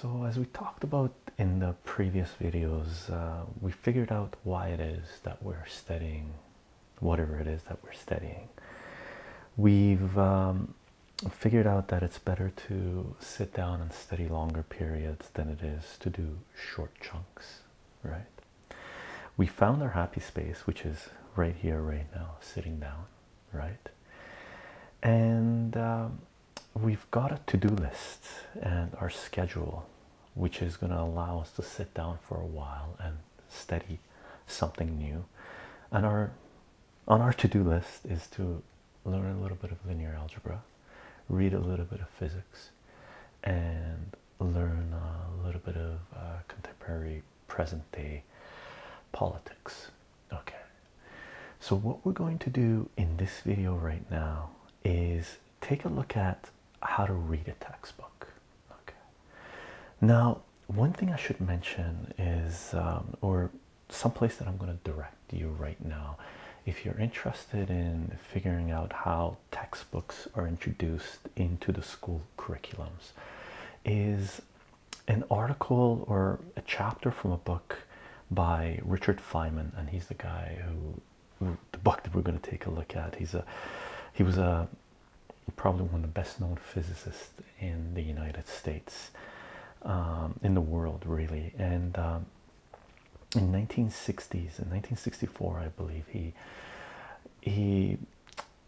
So as we talked about in the previous videos, uh, we figured out why it is that we're studying whatever it is that we're studying. We've um, figured out that it's better to sit down and study longer periods than it is to do short chunks, right? We found our happy space, which is right here, right now, sitting down, right? And um, we've got a to do list and our schedule, which is going to allow us to sit down for a while and study something new. And our on our to do list is to learn a little bit of linear algebra, read a little bit of physics, and learn a little bit of uh, contemporary present day politics. Okay, so what we're going to do in this video right now is take a look at how to read a textbook. Okay, now one thing I should mention is, um, or someplace that I'm going to direct you right now, if you're interested in figuring out how textbooks are introduced into the school curriculums is an article or a chapter from a book by Richard Feynman, and he's the guy who, the book that we're going to take a look at. He's a he was a probably one of the best known physicists in the United States, um, in the world really, and um, in 1960s in 1964 I believe he he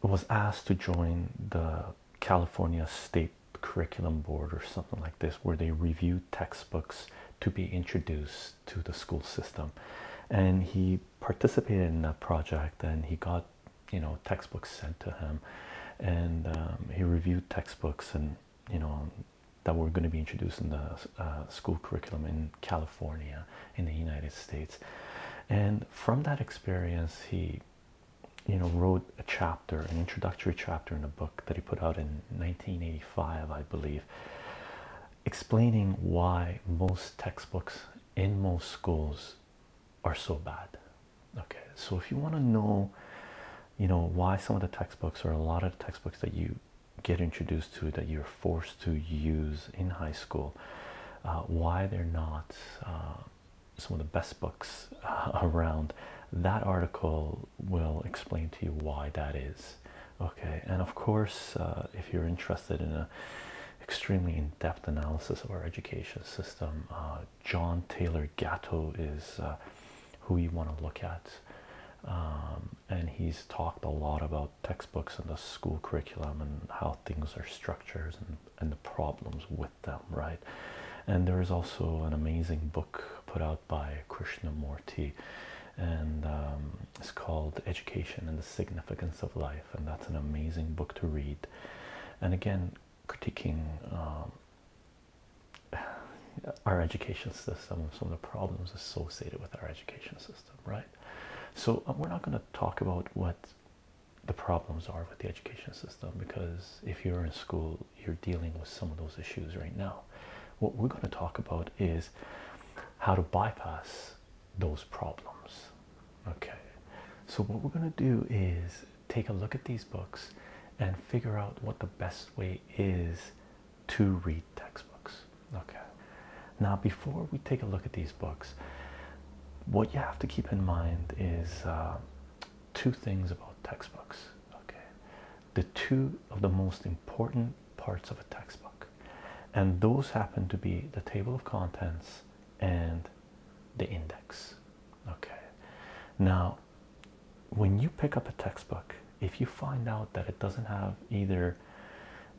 was asked to join the California State Curriculum Board or something like this, where they review textbooks to be introduced to the school system. And he participated in that project and he got, you know, textbooks sent to him. And um, he reviewed textbooks and, you know, that were going to be introduced in the uh, school curriculum in California in the United States. And from that experience, he you know wrote a chapter, an introductory chapter in a book that he put out in 1985, I believe, explaining why most textbooks in most schools are so bad. Okay, so if you want to know, you know, why some of the textbooks or a lot of the textbooks that you get introduced to that you are forced to use in high school, uh, why they're not uh, some of the best books uh, around. That article will explain to you why that is. Okay, and of course, if you're interested in an extremely in-depth analysis of our education system, John Taylor Gatto is who you want to look at, um, and he's talked a lot about textbooks and the school curriculum and how things are structures and, and the problems with them, right? And there is also an amazing book put out by Krishnamurti, and um, it's called Education and the Significance of Life, and that's an amazing book to read. And again, critiquing um, our education system, some of the problems associated with our education system, right? So uh, we're not going to talk about what the problems are with the education system because if you're in school, you're dealing with some of those issues right now. What we're going to talk about is how to bypass those problems. Okay, so what we're going to do is take a look at these books and figure out what the best way is to read textbooks. Okay, now before we take a look at these books, what you have to keep in mind is uh, two things about textbooks. Okay, the two of the most important parts of a textbook, and those happen to be the table of contents and the index. Okay, now when you pick up a textbook, if you find out that it doesn't have either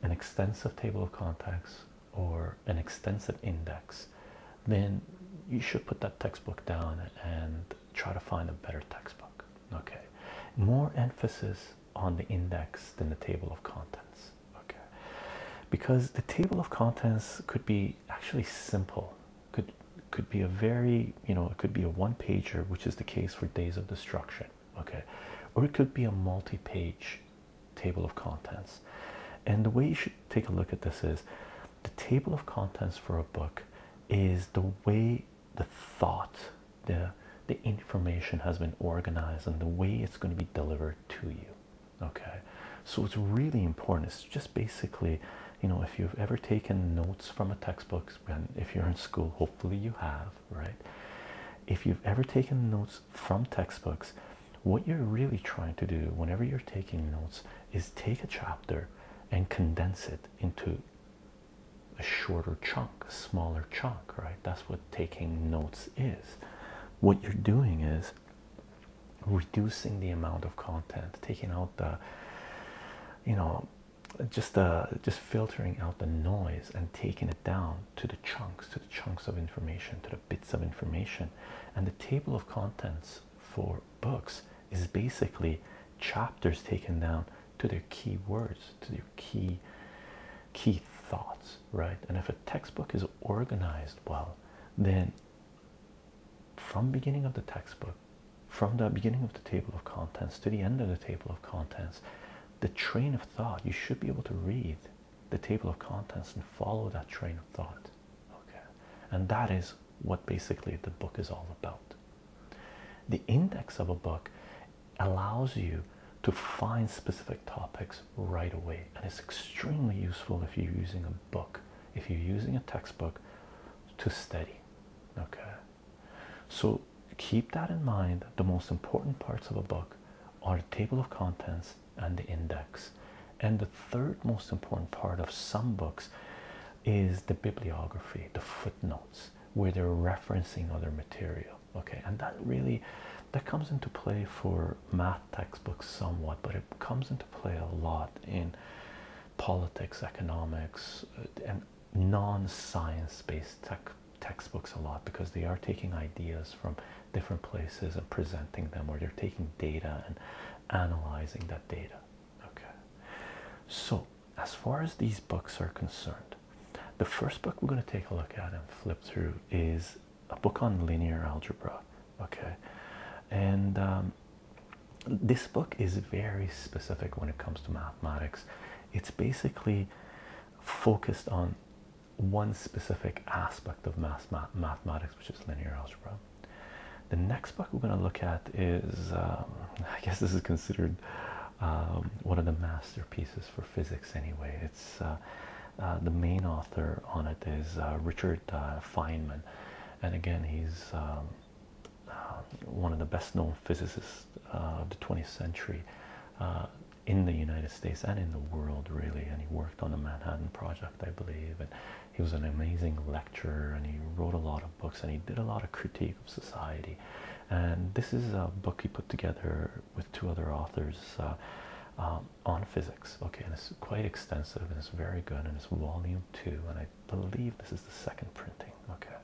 an extensive table of contents or an extensive index, then you should put that textbook down and try to find a better textbook. Okay, more emphasis on the index than the table of contents. Okay, because the table of contents could be actually simple, could could be a very you know it could be a one pager, which is the case for Days of Destruction okay or it could be a multi-page table of contents and the way you should take a look at this is the table of contents for a book is the way the thought the the information has been organized and the way it's going to be delivered to you okay so it's really important it's just basically you know if you've ever taken notes from a textbook and if you're in school hopefully you have right if you've ever taken notes from textbooks, what you're really trying to do whenever you're taking notes is take a chapter and condense it into a shorter chunk, a smaller chunk, right? That's what taking notes is. What you're doing is reducing the amount of content, taking out the, you know, just the uh, just filtering out the noise and taking it down to the chunks, chunks of information, to the bits of information. And the table of contents for books is basically chapters taken down to their key words, to their key key thoughts, right? And if a textbook is organized well, then from beginning of the textbook, from the beginning of the table of contents to the end of the table of contents, the train of thought you should be able to read the table of contents and follow that train of thought. Okay, and that is what basically the book is all about. The index of a book allows you to find specific topics right away, and it's extremely useful if you're using a book, if you're using a textbook to study. Okay, so keep that in mind. The most important parts of a book are the table of contents and the index. And the third most important part of some books is the bibliography, the footnotes, where they're referencing other material. Okay, and that really that comes into play for math textbooks somewhat, but it comes into play a lot in politics, economics, uh, and non-science based tech textbooks a lot because they are taking ideas from different places and presenting them, or they're taking data and analyzing that data. Okay, so as far as these books are concerned, the first book we're going to take a look at and flip through is a book on linear algebra. Okay, and um, this book is very specific when it comes to mathematics, it's basically focused on one specific aspect of math, mathematics, which is linear algebra. The next book we're going to look at is, um, I guess this is considered um, one of the masterpieces for physics anyway. It's uh, uh, the main author on it is uh, Richard Feynman. And again, he's um, one of the best known physicists of the 20th century in the United States and in the world, really. And he worked on the Manhattan Project, I believe. And he was an amazing lecturer, and he wrote a lot of books, and he did a lot of critique of society. And this is a book he put together with two other authors uh, um, on physics. Okay, and it's quite extensive, and it's very good, and it's volume two. And I believe this is the second printing. Okay,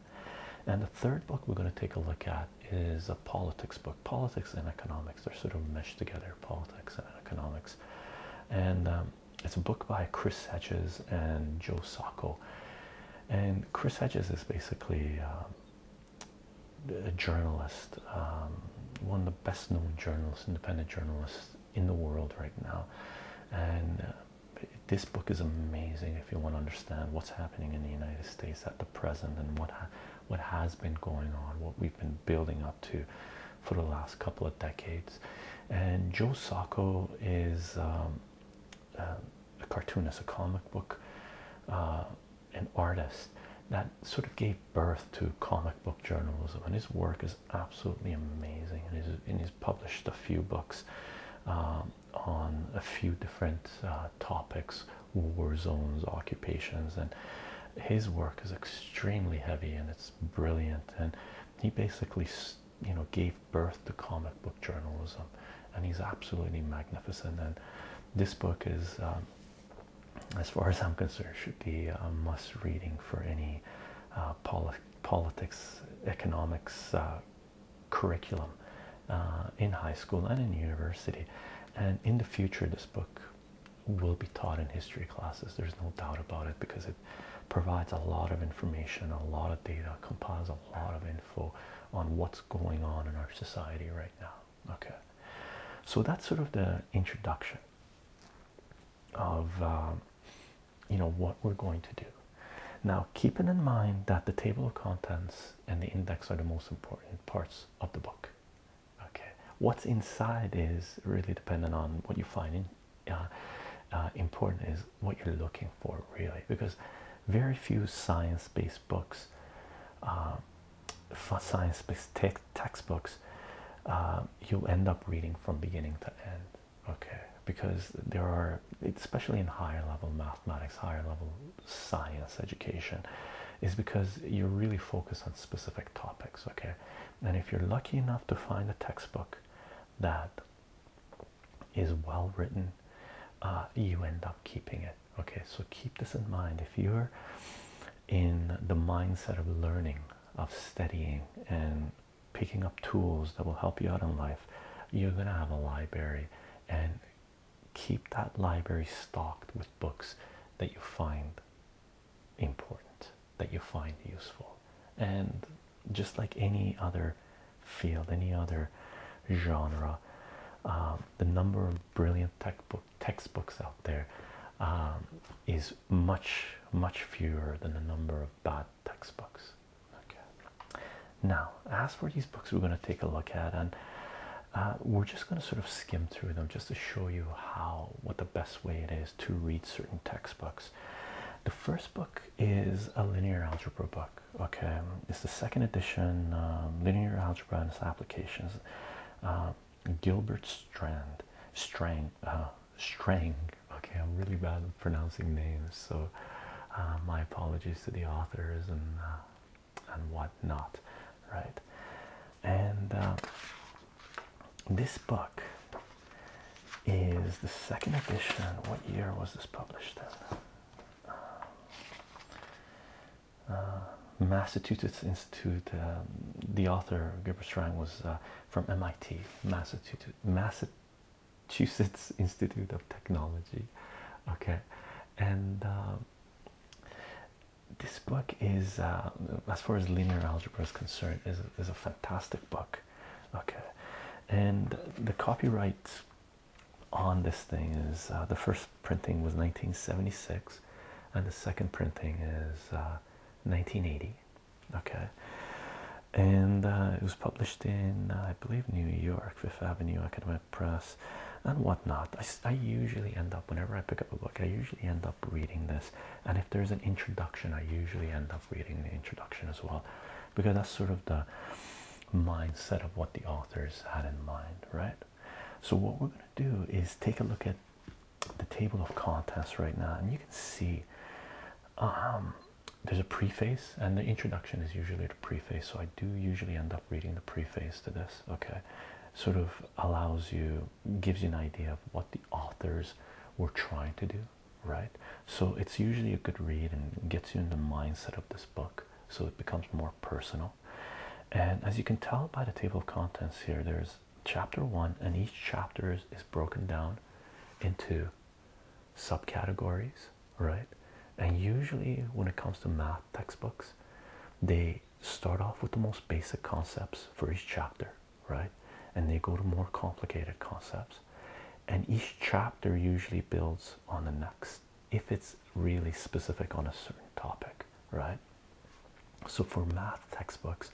and the third book we're going to take a look at is a politics book. Politics and economics, they're sort of meshed together, politics and economics. And um, it's a book by Chris Hedges and Joe Sacco. And Chris Hedges is basically um, a journalist, um, one of the best known journalists, independent journalists in the world right now. And uh, this book is amazing if you want to understand what's happening in the United States at the present and what, what has been going on, what we been building up to for the last couple of decades. And Joe Sacco is um, um, a cartoonist, a comic book, uh, an artist that sort of gave birth to comic book journalism. And his work is absolutely amazing. And he's, published a few books um, on a few different uh, topics, war zones, occupations, and his work is extremely heavy and it's brilliant. And he basically, you know, gave birth to comic book journalism, and he's absolutely magnificent. And this book is, um, as far as I'm concerned, should be a must reading for any uh, politics, economics uh, curriculum uh, in high school and in university. And in the future, this book will be taught in history classes. There's no doubt about it because it provides a lot of information, a lot of data, compiles a lot of info on what's going on in our society right now. Okay, so that's sort of the introduction of um, you know what we're going to do. Now, keeping in mind that the table of contents and the index are the most important parts of the book okay what's inside is really dependent on what you find in, uh, uh, important is what you're looking for really because very few science-based books for uh, science-based te textbooks you end up reading from beginning to end okay because there are especially in higher level mathematics higher level science education is because you really focus on specific topics, okay? And if you're lucky enough to find a textbook that is well written, uh, you end up keeping it, okay? So keep this in mind. If you're in the mindset of learning, of studying, and picking up tools that will help you out in life, you're gonna have a library and keep that library stocked with books that you find important, that you find useful. And just like any other field, any other genre, um, the number of brilliant textbook textbooks out there um, is much much fewer than the number of bad textbooks. Okay. Now, as for these books, we're going to take a look at, and uh, we're just going to sort of skim through them just to show you how what the best way it is to read certain textbooks. The first book is a linear algebra book. Okay, it's the second edition um, linear algebra and its applications. Uh, Gilbert Strand, Strang, uh, Strang. Okay, I'm really bad at pronouncing names, so my apologies to the authors and and whatnot, right? And uh, this book is the second edition. What year was this published then? Uh, uh, Massachusetts Institute. Um, the author Gilbert Strang was from MIT, Massachusetts, Institute of Technology. Okay, and um, this book is, uh, as far as linear algebra is concerned, is a, is a fantastic book. Okay, and the copyright on this thing is uh, the first printing was 1976, and the second printing is 1980. Uh, okay, and it was published in, I believe, New York, Fifth Avenue Academic Press, and whatnot. I I usually end up whenever I pick up a book I usually end up reading this and if there's an introduction I usually end up reading the introduction as well because that's sort of the mindset of what the authors had in mind right so what we're going to do is take a look at the table of contents right now and you can see um, there's a preface and the introduction is usually the preface so I do usually end up reading the preface to this okay sort of allows you gives you an idea of what the authors were trying to do, right? So it's usually a good read and gets you in the mindset of this book, so it becomes more personal. And as you can tell by the table of contents here, there's chapter one, and each chapter is, broken down into subcategories, right? And usually, when it comes to math textbooks, they start off with the most basic concepts for each chapter, right? And they go to more complicated concepts. And each chapter usually builds on the next if it's really specific on a certain topic, right? So for math textbooks,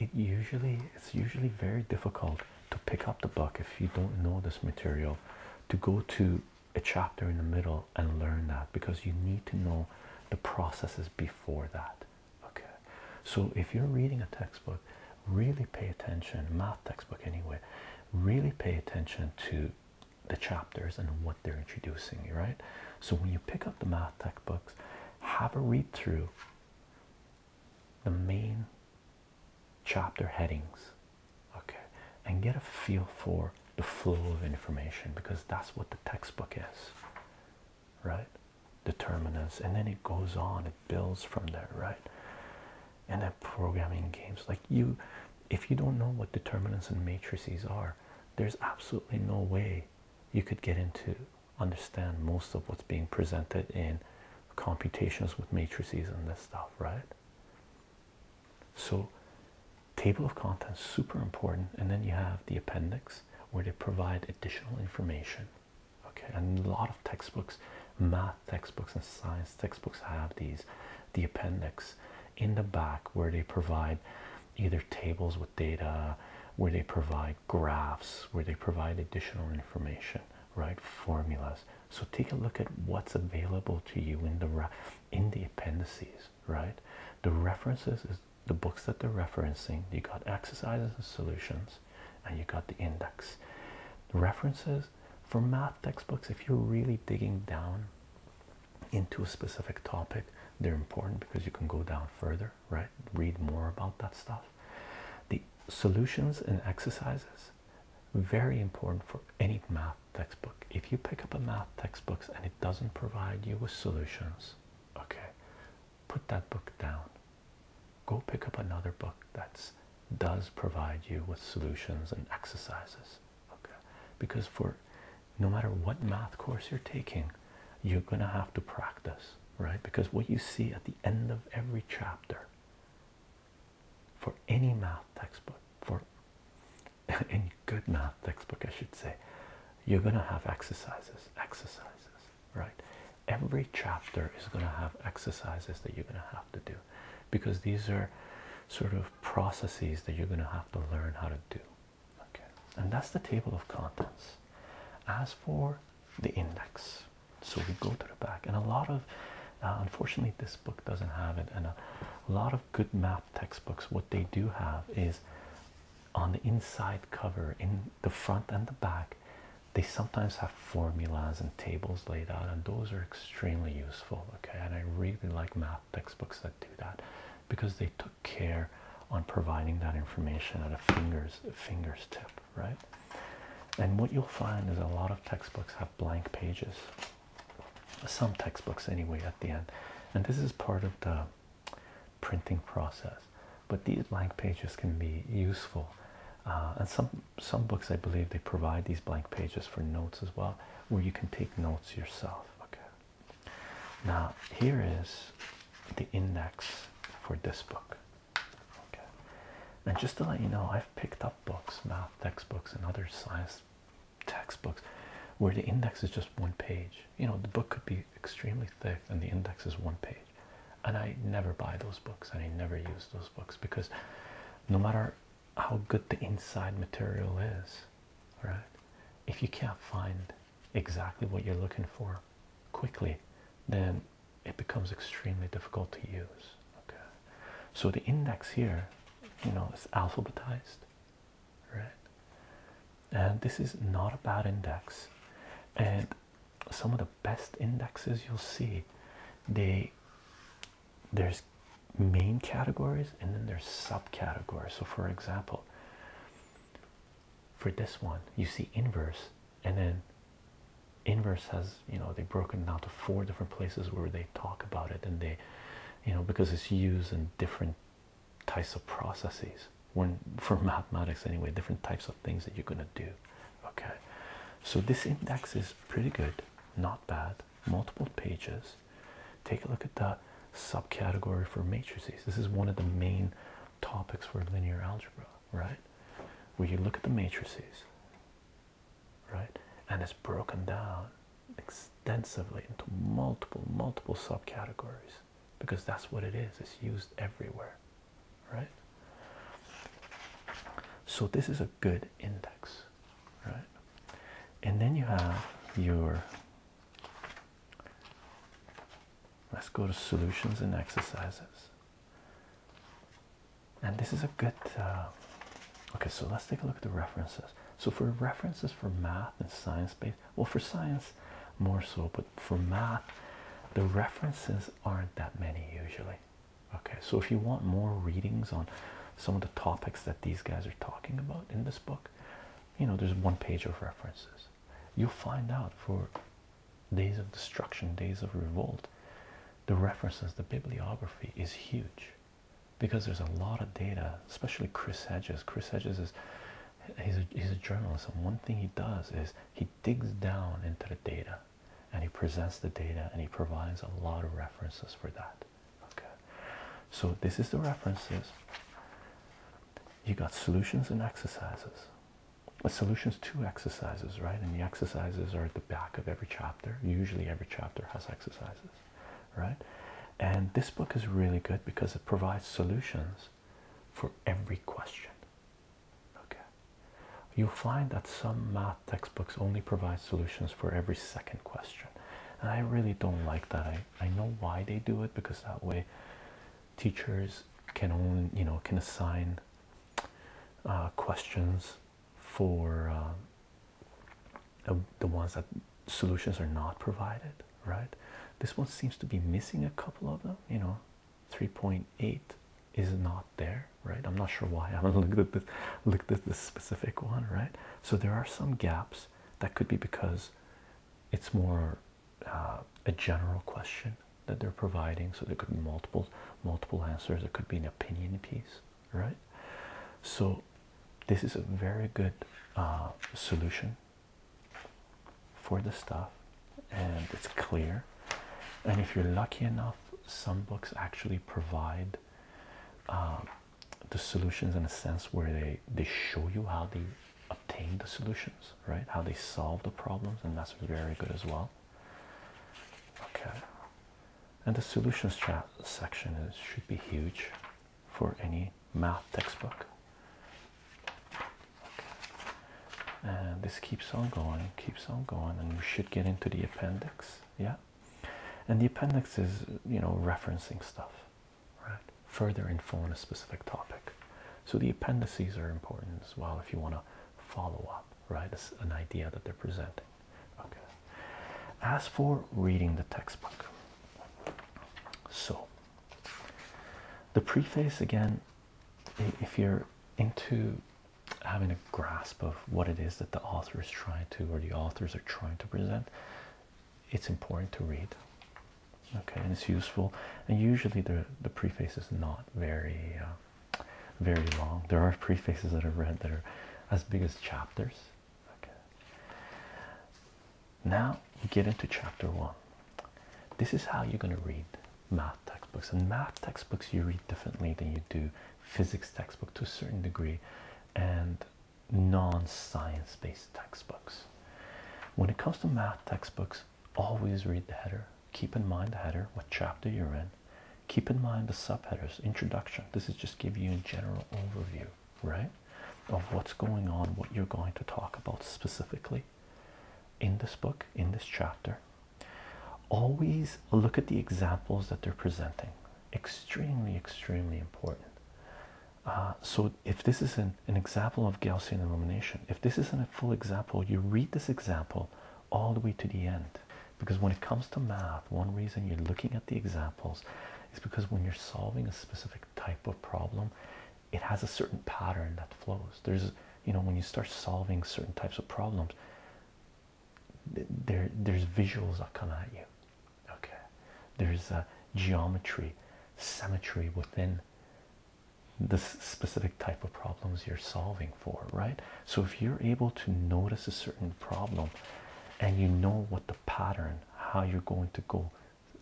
it usually it's usually very difficult to pick up the book if you don't know this material to go to a chapter in the middle and learn that because you need to know the processes before that. Okay, so if you're reading a textbook, really pay attention, math textbook anyway, really pay attention to the chapters and what they're introducing you, right? So when you pick up the math textbooks, have a read through the main chapter headings, okay, and get a feel for the flow of information because that's what the textbook is, right? Determinants, and then it goes on, it builds from there, right? And then programming games like you, if you don't know what determinants and matrices are, there's absolutely no way you could get into understand most of what's being presented in computations with matrices and this stuff, right? So table of contents super important and then you have the appendix where they provide additional information okay and a lot of textbooks math textbooks and science textbooks have these the appendix in the back where they provide either tables with data where they provide graphs where they provide additional information right formulas so take a look at what's available to you in the in the appendices right? The references is the books that they're referencing. You got exercises and solutions, and you got the index. references for math textbooks, if you're really digging down into a specific topic, they're important because you can go down further, right? Read more about that stuff. The solutions and exercises, very important for any math textbook. If you pick up a math textbook and it doesn't provide you with solutions, okay put that book down go pick up another book that's does provide you with solutions and exercises okay because for no matter what math course you're taking you're gonna have to practice right because what you see at the end of every chapter for any math textbook for in good math textbook, I should say, you're going to have exercises, exercises, right? Every chapter is going to have exercises that you're going to have to do because these are sort of processes that you're going to have to learn how to do. Okay, and that's the table of contents. As for the index, so we go to the back, and a lot of uh, unfortunately, this book doesn't have it, and a lot of good math textbooks what they do have is on the inside cover in the front and the back they sometimes have formulas and tables laid out and those are extremely useful okay and i really like math textbooks that do that because they took care on providing that information at a fingers fingers tip right and what you'll find is a lot of textbooks have blank pages some textbooks anyway at the end and this is part of the printing process. But these blank pages can be useful, uh, and some some books I believe they provide these blank pages for notes as well, where you can take notes yourself. Okay. Now here is the index for this book. Okay. And just to let you know, I've picked up books, math textbooks, and other science textbooks, where the index is just one page. You know, the book could be extremely thick and the index is one page. And I never buy those books and I never use those books because no matter how good the inside material is, right? If you can't find exactly what you're looking for quickly, then it becomes extremely difficult to use. Okay, so the index here, you know, is alphabetized, right? And this is not about index, and some of the best indexes you'll see they there's main categories and then there's subcategories. So, for example, for this one, you see inverse, and then inverse has you know they've broken down to four different places where they talk about it and they you know because it's used in different types of processes when for mathematics anyway different types of things that you're going to do okay so this index is pretty good not bad multiple pages take a look at the subcategory for matrices this is one of the main topics for linear algebra right where you look at the matrices right and it's broken down extensively into multiple multiple subcategories because that's what it is it's used everywhere right so this is a good index right and then you have your let's go to solutions and exercises and this is a good uh, okay so let's take a look at the references so for references for math and science-based well, for science, more so, but for math, the references aren't that many usually. Okay, so if you want more readings on some of the topics that these guys are talking about in this book, you know, there's one page of references. You'll find out for Days of Destruction, Days of Revolt, the references, the bibliography is huge because there's a lot of data, especially Chris Hedges. Chris Hedges is he's a, he's a journalist and one thing he does is he digs down into the data and he presents the data and he provides a lot of references for that okay so this is the references you got solutions and exercises but solutions to exercises right and the exercises are at the back of every chapter usually every chapter has exercises right and this book is really good because it provides solutions for every question. Okay, you'll find that some math textbooks only provide solutions for every second question, and I really don't like that. I, I know why they do it because that way teachers can only you know can assign uh, questions for uh, the ones that solutions are not provided, right? This one seems to be missing a couple of them, you know. 3.8 is not there, right? I'm not sure why I haven't looked at this looked at this specific one, right? So there are some gaps that could be because it's more uh, a general question that they're providing, so there could be multiple multiple answers. It could be an opinion piece, right? So this is a very good uh, solution for the stuff and it's clear and if you're lucky enough some books actually provide um, the solutions in a sense where they they show you how they obtain the solutions right how they solve the problems and that's very good as well okay and the solutions section is should be huge for any math textbook. And this keeps on going, keeps on going, and you should get into the appendix. Yeah. And the appendix is, you know, referencing stuff, right? Further info on a specific topic. So the appendices are important as well if you want to follow up, right? It's an idea that they're presenting. Okay. As for reading the textbook, so the preface again, if you're into having a grasp of what it is that the author is trying to or the authors are trying to present, it's important to read. Okay, and it's useful. And usually the the preface is not very uh, very long. There are prefaces that I've read that are as big as chapters. Okay. Now you get into chapter one. This is how you're going to read math textbooks, and math textbooks you read differently than you do physics textbook to a certain degree, and non-science based textbooks. When it comes to math textbooks, always read the header. Keep in mind the header, what chapter you're in. Keep in mind the subheaders, introduction. This is just give you a general overview, right? of what's going on, what you're going to talk about specifically in this book, in this chapter. Always look at the examples that they're presenting. Extremely, extremely important. Uh, so, if this is an, an example of Gaussian elimination, if this isn't a full example, you read this example all the way to the end. Because when it comes to math, one reason you're looking at the examples is because when you're solving a specific type of problem, it has a certain pattern that flows. There's, you know, when you start solving certain types of problems, there there's visuals that come at you. Okay, there's a geometry, symmetry within this specific type of problems you're solving for, right? So if you're able to notice a certain problem, and you know what the pattern, how you're going to go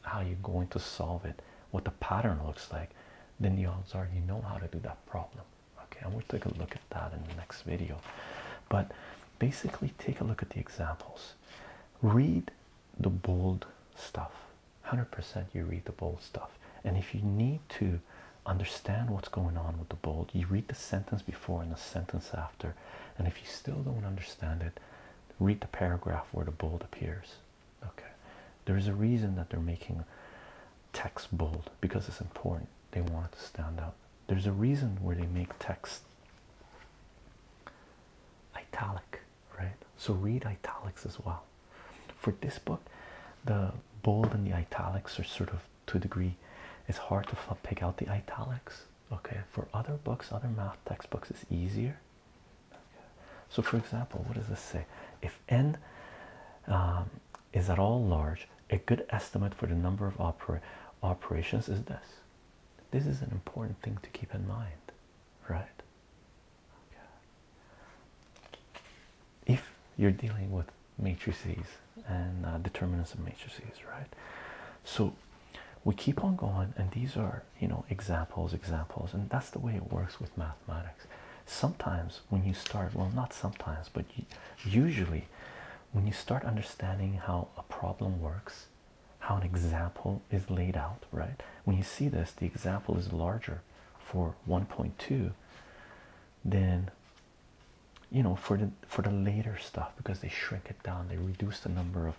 how you're going to solve it, what the pattern looks like, then the odds are you know how to do that problem. Okay, and we'll take a look at that in the next video. But basically, take a look at the examples. Read the bold stuff. 100% you read the bold stuff. And if you need to understand what's going on with the bold, you read the sentence before and the sentence after. And if you still don't understand it, read the paragraph where the bold appears. Okay, there's a reason that they're making text bold because it's important. They want it to stand out. There's a reason where they make text italic, right? So read italics as well. For this book, the bold and the italics are sort of to a degree. It's hard to pick out the italics. Okay, for other books, other math textbooks, it's easier. So, for example, what does this say? If n um, is at all large, a good estimate for the number of operations is this. This is an important thing to keep in mind, right? If you're dealing with matrices and uh, determinants of matrices, right? So we keep on going, and these are you know examples examples and that's the way it works with mathematics sometimes when you start well not sometimes but usually when you start understanding how a problem works how an example is laid out right when you see this the example is larger for 1.2 then you know for the for the later stuff because they shrink it down they reduce the number of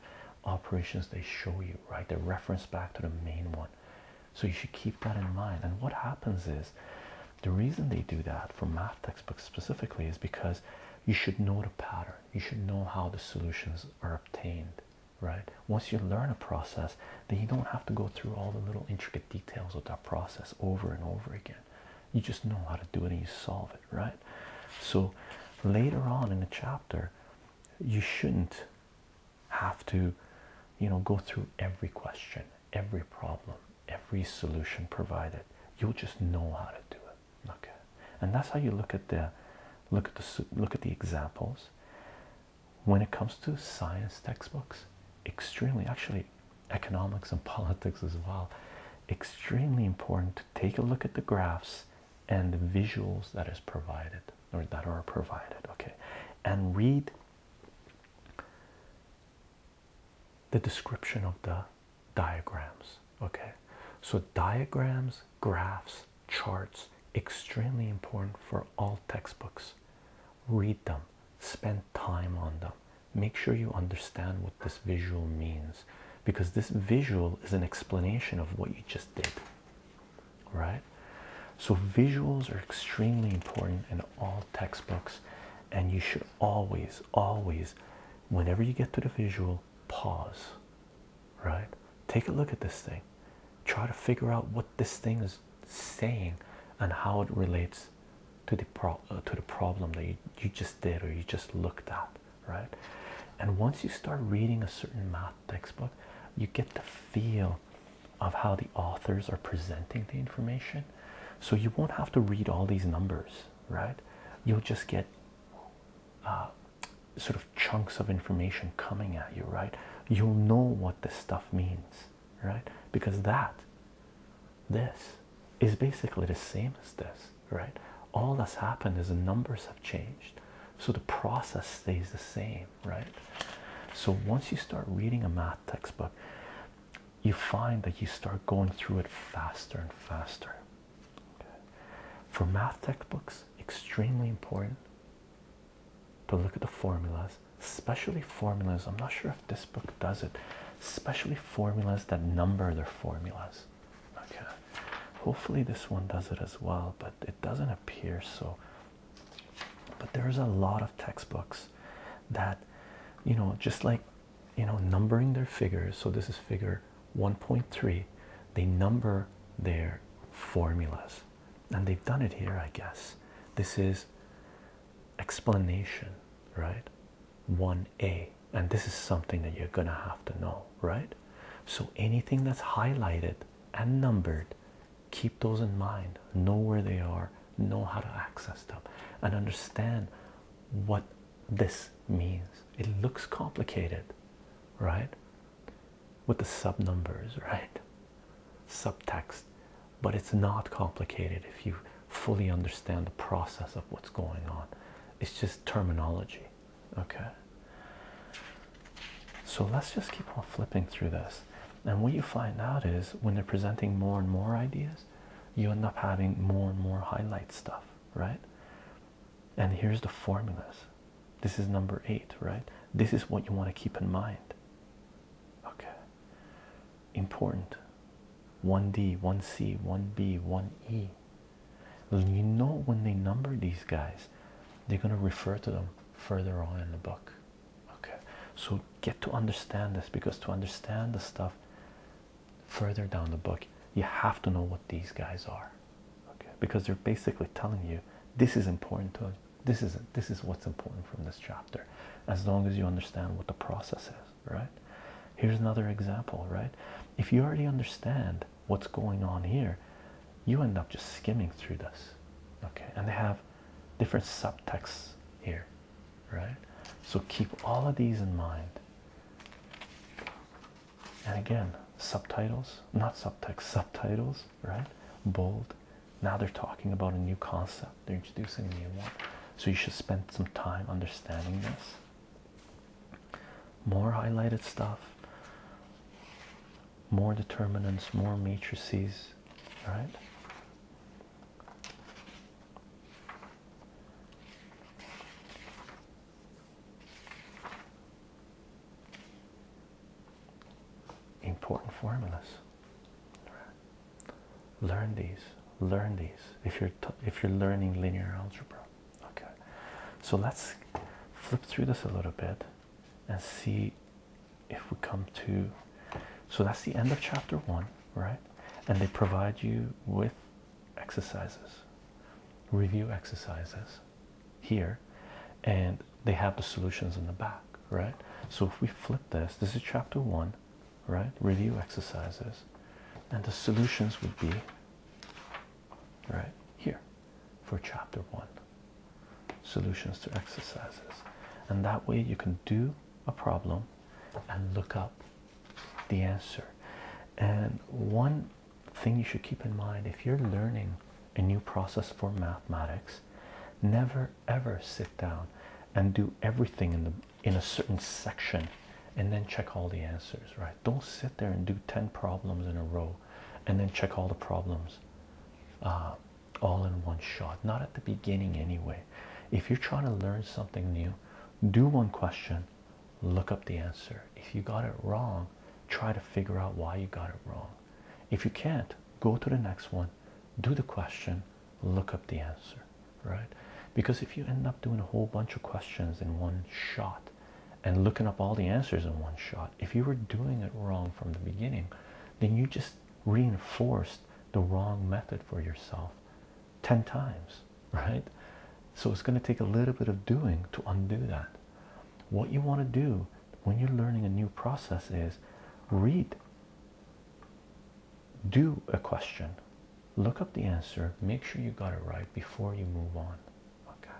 operations they show you right they reference back to the main one so you should keep that in mind and what happens is the reason they do that for math textbooks specifically is because you should know the pattern you should know how the solutions are obtained right once you learn a process then you don't have to go through all the little intricate details of that process over and over again you just know how to do it and you solve it right so later on in the chapter you shouldn't have to you know go through every question every problem every solution provided you'll just know how to do it okay and that's how you look at the look at the look at the examples when it comes to science textbooks extremely actually economics and politics as well extremely important to take a look at the graphs and the visuals that is provided or that are provided okay and read the description of the diagrams okay so diagrams graphs charts extremely important for all textbooks read them spend time on them make sure you understand what this visual means because this visual is an explanation of what you just did right? So, visuals are extremely important in all textbooks, and you should always, always, whenever you get to the visual, pause, right? Take a look at this thing, try to figure out what this thing is saying and how it relates to the, uh, to the problem that you just did or you just looked at, right? And once you start reading a certain math textbook, you get the feel of how the authors are presenting the information. So you won't have to read all these numbers, right? You'll just get uh, sort of chunks of information coming at you, right? You'll know what this stuff means, right? Because that, this, is basically the same as this, right? All that's happened is the numbers have changed so the process stays the same right so once you start reading a math textbook you find that you start going through it faster and faster for math textbooks extremely important to look at the formulas especially formulas i'm not sure if this book does it especially formulas that number their formulas okay hopefully this one does it as well but it doesn't here so but there's a lot of textbooks that you know just like you know numbering their figures so this is figure 1.3 they number their formulas and they've done it here i guess this is explanation right 1a and this is something that you're gonna have to know right so anything that's highlighted and numbered. Keep those in mind, know where they are, know how to access them, and understand what this means. It looks complicated, right? With the sub numbers, right? Subtext, but it's not complicated if you fully understand the process of what's going on. It's just terminology. Okay, so let's just keep on flipping through this. And what you find out is when they're presenting more and more ideas, you end up having more and more highlight stuff, right? And here's the formulas. This is number eight, right? This is what you want to keep in mind. Okay, important 1D, 1C, 1B, 1E. You know, when they number these guys, they're going to refer to them further on in the book. Okay, so get to understand this because to understand the stuff further down the book, you have to know what these guys are. Okay, because they're basically telling you this is important to this is this is what's important from this chapter, as long as you understand what the process is, right? Here's another example, right? If you already understand what's going on here, you end up just skimming through this. Okay, and they have different subtexts here, right? So keep all of these in mind. And again, subtitles, not subtext, subtitles, right? Bold. Now they're talking about a new concept, they're introducing a new one. So you should spend some time understanding this. More highlighted stuff more determinants, more matrices, right? Important formulas. Right. Learn these. Learn these. If you're if you're learning linear algebra, okay. So let's flip through this a little bit and see if we come to so that's the end of chapter one right and they provide you with exercises review exercises here and they have the solutions in the back right so if we flip this this is chapter one right review exercises and the solutions would be right here for chapter one solutions to exercises, and that way you can do a problem and look up the answer. And one thing you should keep in mind if you're learning a new process for mathematics, never ever sit down and do everything in the in a certain section and then check all the answers right don't sit there and do 10 problems in a row and then check all the problems uh, all in one shot, not at the beginning anyway. If you're trying to learn something new, do one question, look up the answer. If you got it wrong, try to figure out why you got it wrong. If you can't, go to the next one, do the question, look up the answer, right? Because if you end up doing a whole bunch of questions in one shot and looking up all the answers in one shot, if you were doing it wrong from the beginning then you just reinforced the wrong method for yourself 10 times right so it's going to take a little bit of doing to undo that what you want to do when you're learning a new process is read do a question look up the answer make sure you got it right before you move on okay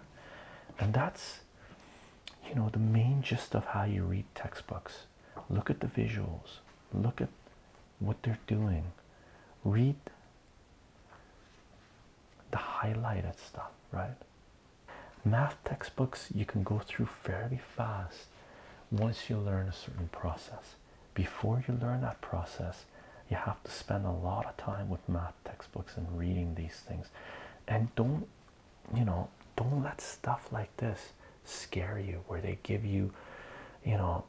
and that's you know the main gist of how you read textbooks look at the visuals look at what they're doing read the highlighted stuff right math textbooks you can go through fairly fast once you learn a certain process before you learn that process you have to spend a lot of time with math textbooks and reading these things and don't you know, don't let stuff like this scare you, where they give you, you know,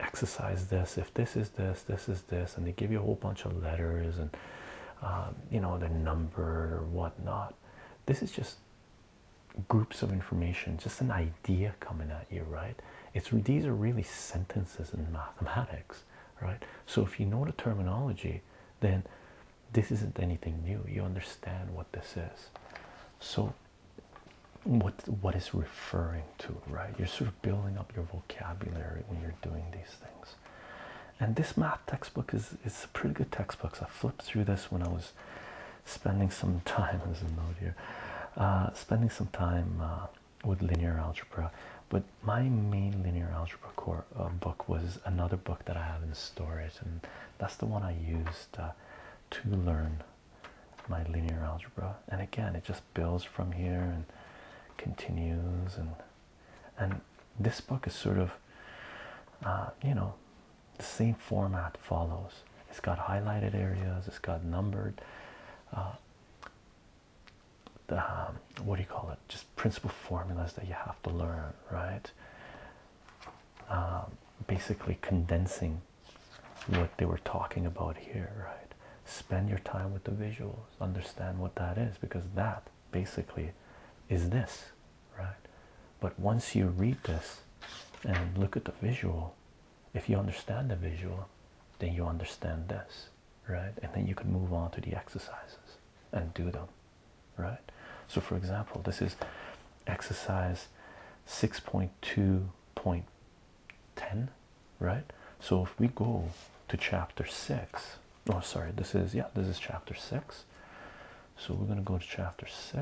exercise this. If this is this, this is this, and they give you a whole bunch of letters and, um, you know, the number or whatnot. This is just groups of information, just an idea coming at you, right? It's these are really sentences in mathematics, right? So if you know the terminology, then this isn't anything new you understand what this is so what what is referring to right you're sort of building up your vocabulary when you're doing these things and this math textbook is is a pretty good textbook i flipped through this when i was spending some time as a note here uh, spending some time uh, with linear algebra but my main linear algebra core um, book was another book that I have in storage, and that's the one I used uh, to learn my linear algebra. And again, it just builds from here and continues, and and this book is sort of, uh, you know, the same format follows. It's got highlighted areas. It's got numbered. Uh, the, um, what do you call it? Principle formulas that you have to learn, right? Um, basically condensing what they were talking about here, right? Spend your time with the visuals, understand what that is, because that basically is this, right? But once you read this and look at the visual, if you understand the visual, then you understand this, right? And then you can move on to the exercises and do them right? So, for example, this is exercise 6.2.10, right? So, if we go to chapter 6, oh, sorry, this is yeah, this is chapter 6. So, we're going to go to chapter 6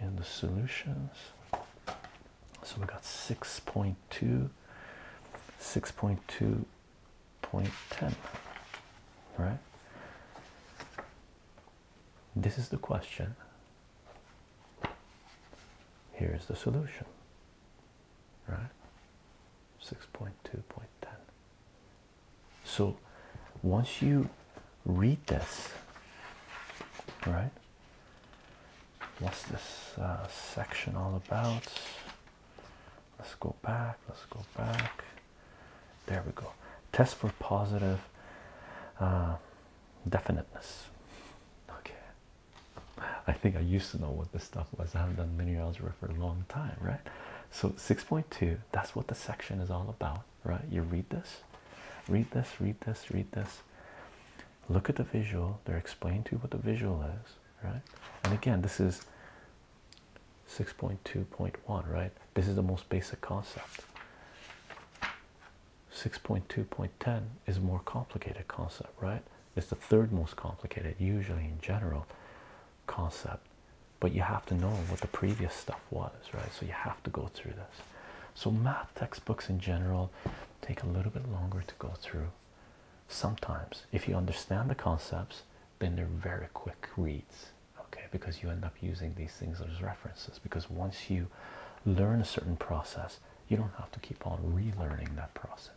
in the solutions. So, we got 6.2, 6.2 0.10 right this is the question here's the solution right 6.2.10 so once you read this right what's this uh, section all about Let's go back. Let's go back. There we go. Test for positive uh, definiteness. Okay. I think I used to know what this stuff was. I haven't done linear algebra for a long time, right? So 6.2, that's what the section is all about, right? You read this, read this, read this, read this. Look at the visual. They're explaining to you what the visual is, right? And again, this is 6.2.1 right this is the most basic concept 6.2.10 is a more complicated concept right it's the third most complicated usually in general concept but you have to know what the previous stuff was right so you have to go through this so math textbooks in general take a little bit longer to go through sometimes if you understand the concepts then they're very quick reads okay because you end up using these things as references because once you learn a certain process you don't have to keep on relearning that process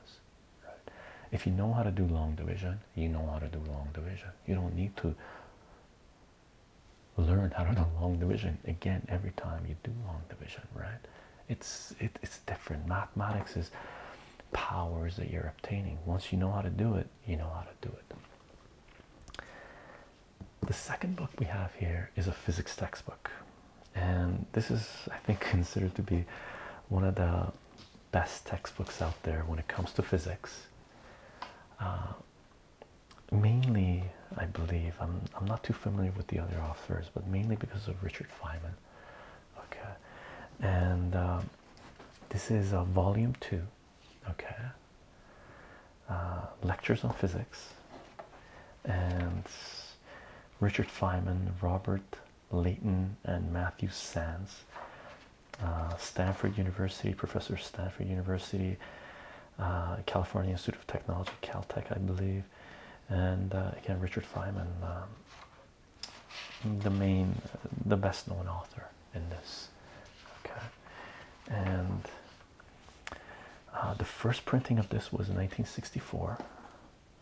if you know how to do long division you know how to do long division you don't need to learn how to do long division again every time you do long division right it's it's different mathematics is powers that you're obtaining. Once you know how to do it, you know how to do it. The second book we have here is a physics textbook, and this is, I think, considered to be one of the best textbooks out there when it comes to physics. Uh, mainly, I believe, I'm, I'm not too familiar with the other authors, but mainly because of Richard Feynman. Okay, and um, this is a uh, volume two, okay. Uh, lectures on physics, and Richard Feynman, Robert Leighton, and Matthew Sands, uh, Stanford University, Professor Stanford University, California Institute of Technology, Caltech, I believe, and again Richard Feynman. Um, the main the best known author in this okay and uh, the first printing of this was in 1964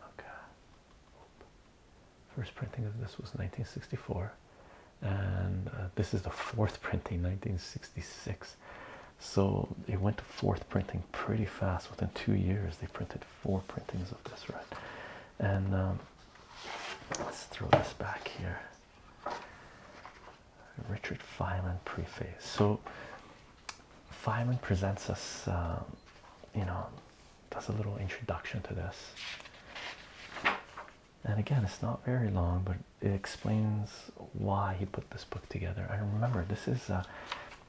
okay first printing of this was 1964 and uh, this is the fourth printing 1966 so it went to fourth printing pretty fast within two years they printed four printings of this right and um, Let's throw this back here. Richard Feynman preface. So Feynman presents us, um, you know, does a little introduction to this. And again, it's not very long, but it explains why he put this book together. I remember, this is, uh,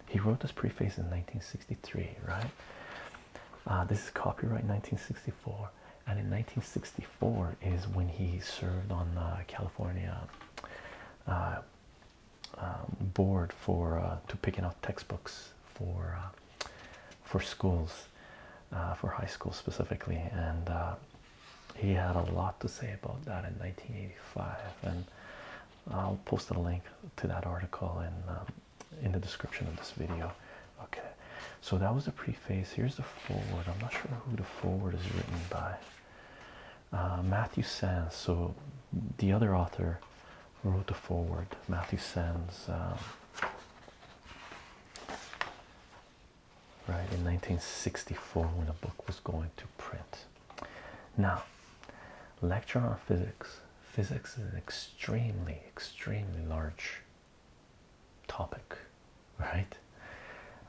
he wrote this preface in 1963, right? Uh, this is copyright 1964, and in 1964 is when he served on the uh, California uh, um, board for to picking out textbooks for for schools, for high school specifically, and he had a lot to say about that in 1985. And I'll post a link to that article in um, in the description of this video. Okay, so that was the preface. Here's the forward. I'm not sure who the forward is written by. Uh, Matthew Sands. So the other author wrote the forward. Matthew Sands. Um, right in 1964 when the book was going to print. Now, lecture on physics. Physics is an extremely, extremely large topic, right?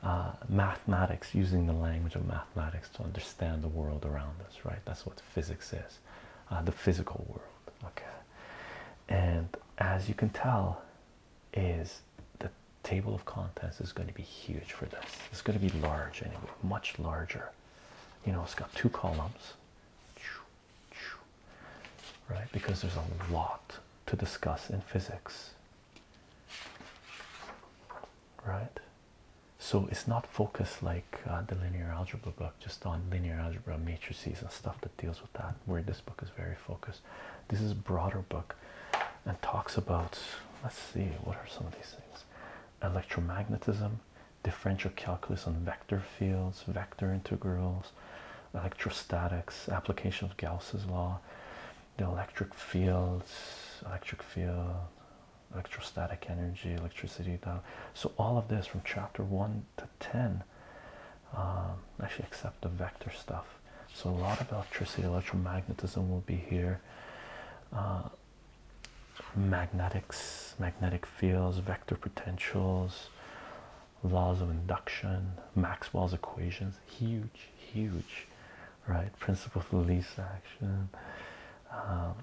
Uh, mathematics, using the language of mathematics to understand the world around us, right? That's what physics is, uh, the physical world, okay? And as you can tell, is the table of contents is going to be huge for this. It's going to be large anyway, much larger. You know, it's got two columns right? Because there's a lot to discuss in physics, right? So it's not focused like uh, the linear algebra book, just on linear algebra, matrices, and stuff that deals with that. Where this book is very focused. This is broader book and talks about. Let's see, what are some of these things? Electromagnetism, differential calculus on vector fields, vector integrals, electrostatics, application of Gauss's law, the electric fields, electric field, electrostatic energy, electricity. So all of this from chapter one to ten, um, actually except the vector stuff. So a lot of electricity, electromagnetism will be here. Uh, magnetics, magnetic fields, vector potentials, laws of induction, Maxwell's equations, huge, huge, right? Principle of least action, um,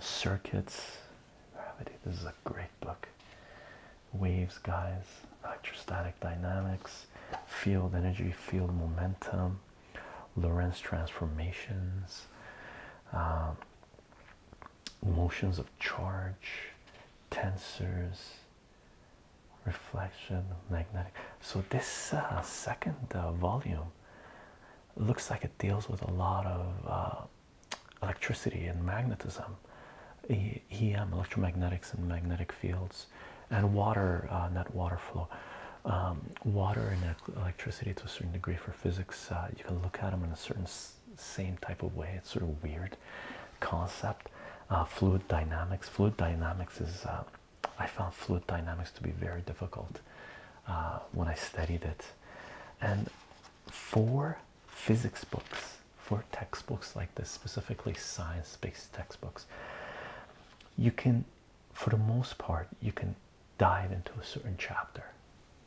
circuits, gravity. This is a great book. Waves, guys, electrostatic dynamics, field energy, field momentum, Lorentz transformations. Um, motions of charge, tensors, reflection, magnetic. So this uh, second uh, volume looks like it deals with a lot of uh, electricity and magnetism, EM, electromagnetics and magnetic fields, and water, That water flow. Um, water and electricity to a certain degree for physics. you can look at them in a certain same type of way. It's sort of weird concept. Uh, fluid dynamics. Fluid dynamics is. Uh, I found fluid dynamics to be very difficult uh, when I studied it, and for physics books, for textbooks like this, specifically science-based textbooks, you can, for the most part, you can dive into a certain chapter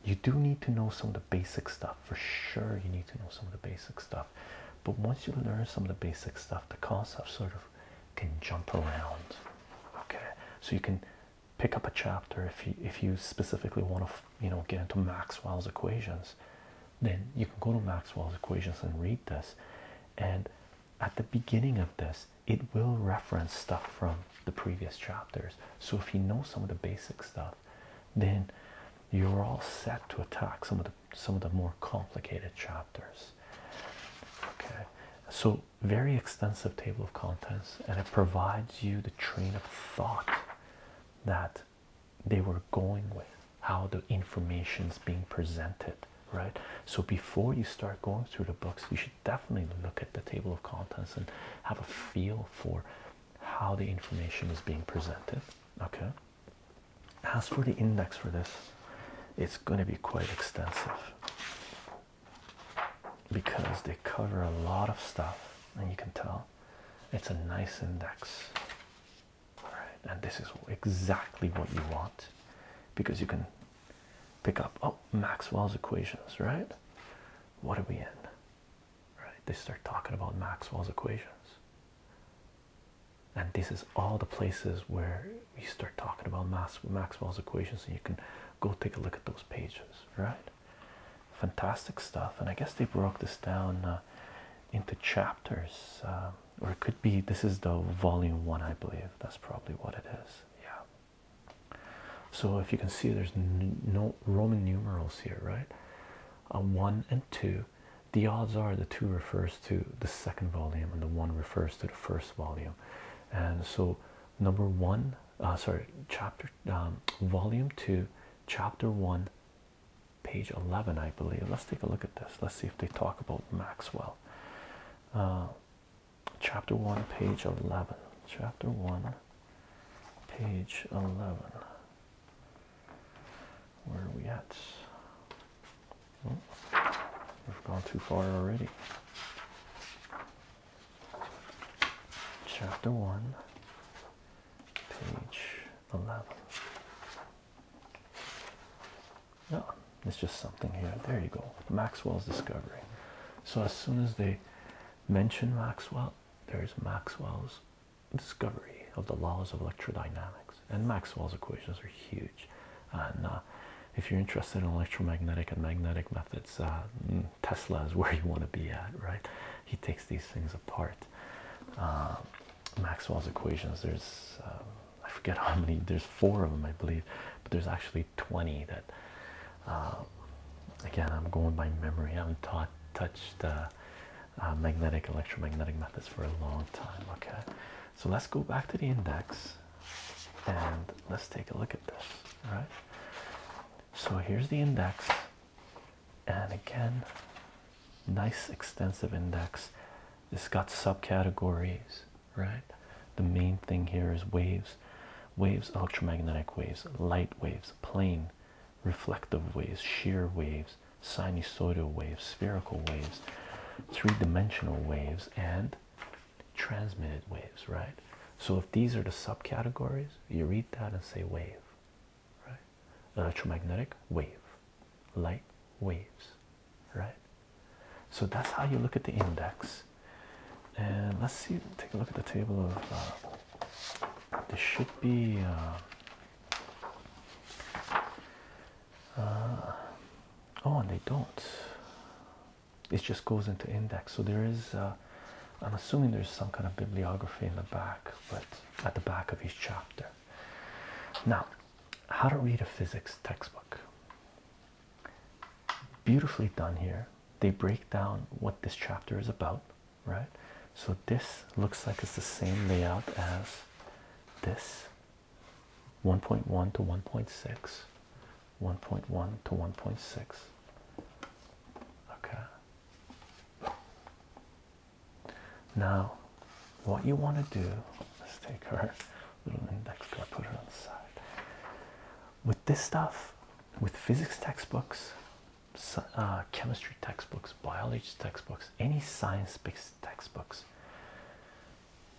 you do need to know some of the basic stuff for sure. You need to know some of the basic stuff, but once you learn some of the basic stuff, the concepts sort of can jump around. Okay, so you can pick up a chapter if you if you specifically want to you know get into Maxwell's equations, then you can go to Maxwell's equations and read this, and at the beginning of this, it will reference stuff from the previous chapters. So if you know some of the basic stuff then you're all set to attack some of the some of the more complicated chapters. Okay, so very extensive table of contents, and it provides you the train of thought that they were going with, how the information is being presented, right? So before you start going through the books, you should definitely look at the table of contents and have a feel for how the information is being presented. Okay. As for the index for this, it's going to be quite extensive because they cover a lot of stuff, and you can tell it's a nice index. All right, and this is exactly what you want because you can pick up oh Maxwell's equations, right? What are we in? right? They start talking about Maxwell's equations. And this is all the places where we start talking about Maxwell's equations, and you can go take a look at those pages, right? Fantastic stuff. And I guess they broke this down uh, into chapters, uh, or it could be this is the volume one, I believe. That's probably what it is. Yeah. So if you can see, there's no Roman numerals here, right? a one and two, the odds are the two refers to the second volume and the one refers to the first volume. And so, number one, uh, sorry, chapter, um, volume two, chapter one, page 11, I believe. Let's take a look at this. Let's see if they talk about Maxwell. Uh, chapter one, page 11. Chapter one, page 11. Where are we at? Oh, we've gone too far already. Chapter 1, page 11. No, oh, it's just something here. There you go. Maxwell's discovery. So, as soon as they mention Maxwell, there's Maxwell's discovery of the laws of electrodynamics and Maxwell's equations are huge. And uh, if you're interested in electromagnetic and magnetic methods, uh, mm, Tesla is where you want to be at, right? He takes these things apart. Uh, Maxwell's equations. There's I forget how many. There's four of them, I believe, but there's actually 20 that. again, I'm going by memory. I haven't taught touched uh, magnetic electromagnetic methods for a long time. Okay, so let's go back to the index and let's take a look at this. All right, so here's the index, and again, nice extensive index. It's got subcategories, right? The main thing here is waves, waves, electromagnetic waves, light waves, plane reflective waves, shear waves, sinusoidal waves, spherical waves, three dimensional waves, and transmitted waves, right? So if these are the subcategories, you read that and say wave, right? Electromagnetic wave, light waves, right? So that's how you look at the index. And let's see, take a look at the table of. Uh, this should be. Uh, uh, oh, and they don't. It just goes into index. So there is. Uh, I'm assuming there's some kind of bibliography in the back, but at the back of each chapter. Now, how to read a physics textbook. Beautifully done here. They break down what this chapter is about right? So this looks like it's the same layout as this 1.1 to 1.6, 1.1 to 1.6. Okay. Now, what you want to do, let's take our little index card, put it on the side. With this stuff, with physics textbooks, uh, chemistry textbooks, biology textbooks, any science textbooks.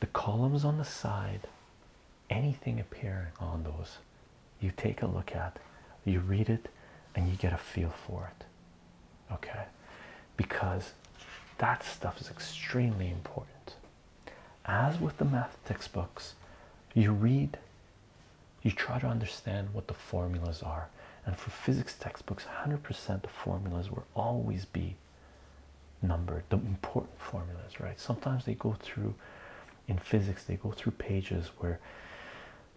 The columns on the side, anything appearing on those, you take a look at, you read it, and you get a feel for it. Okay? Because that stuff is extremely important. As with the math textbooks, you read you try to understand what the formulas are and for physics textbooks 100% the formulas will always be numbered the important formulas right sometimes they go through in physics they go through pages where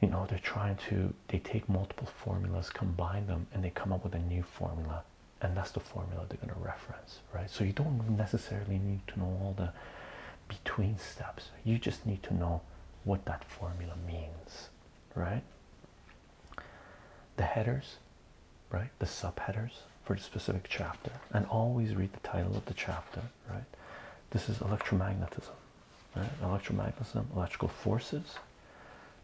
you know they're trying to they take multiple formulas combine them and they come up with a new formula and that's the formula they're going to reference right so you don't necessarily need to know all the between steps you just need to know what that formula means right? The headers, right? The subheaders for the specific chapter, and always read the title of the chapter, right? This is electromagnetism, right? Electromagnetism, electrical forces,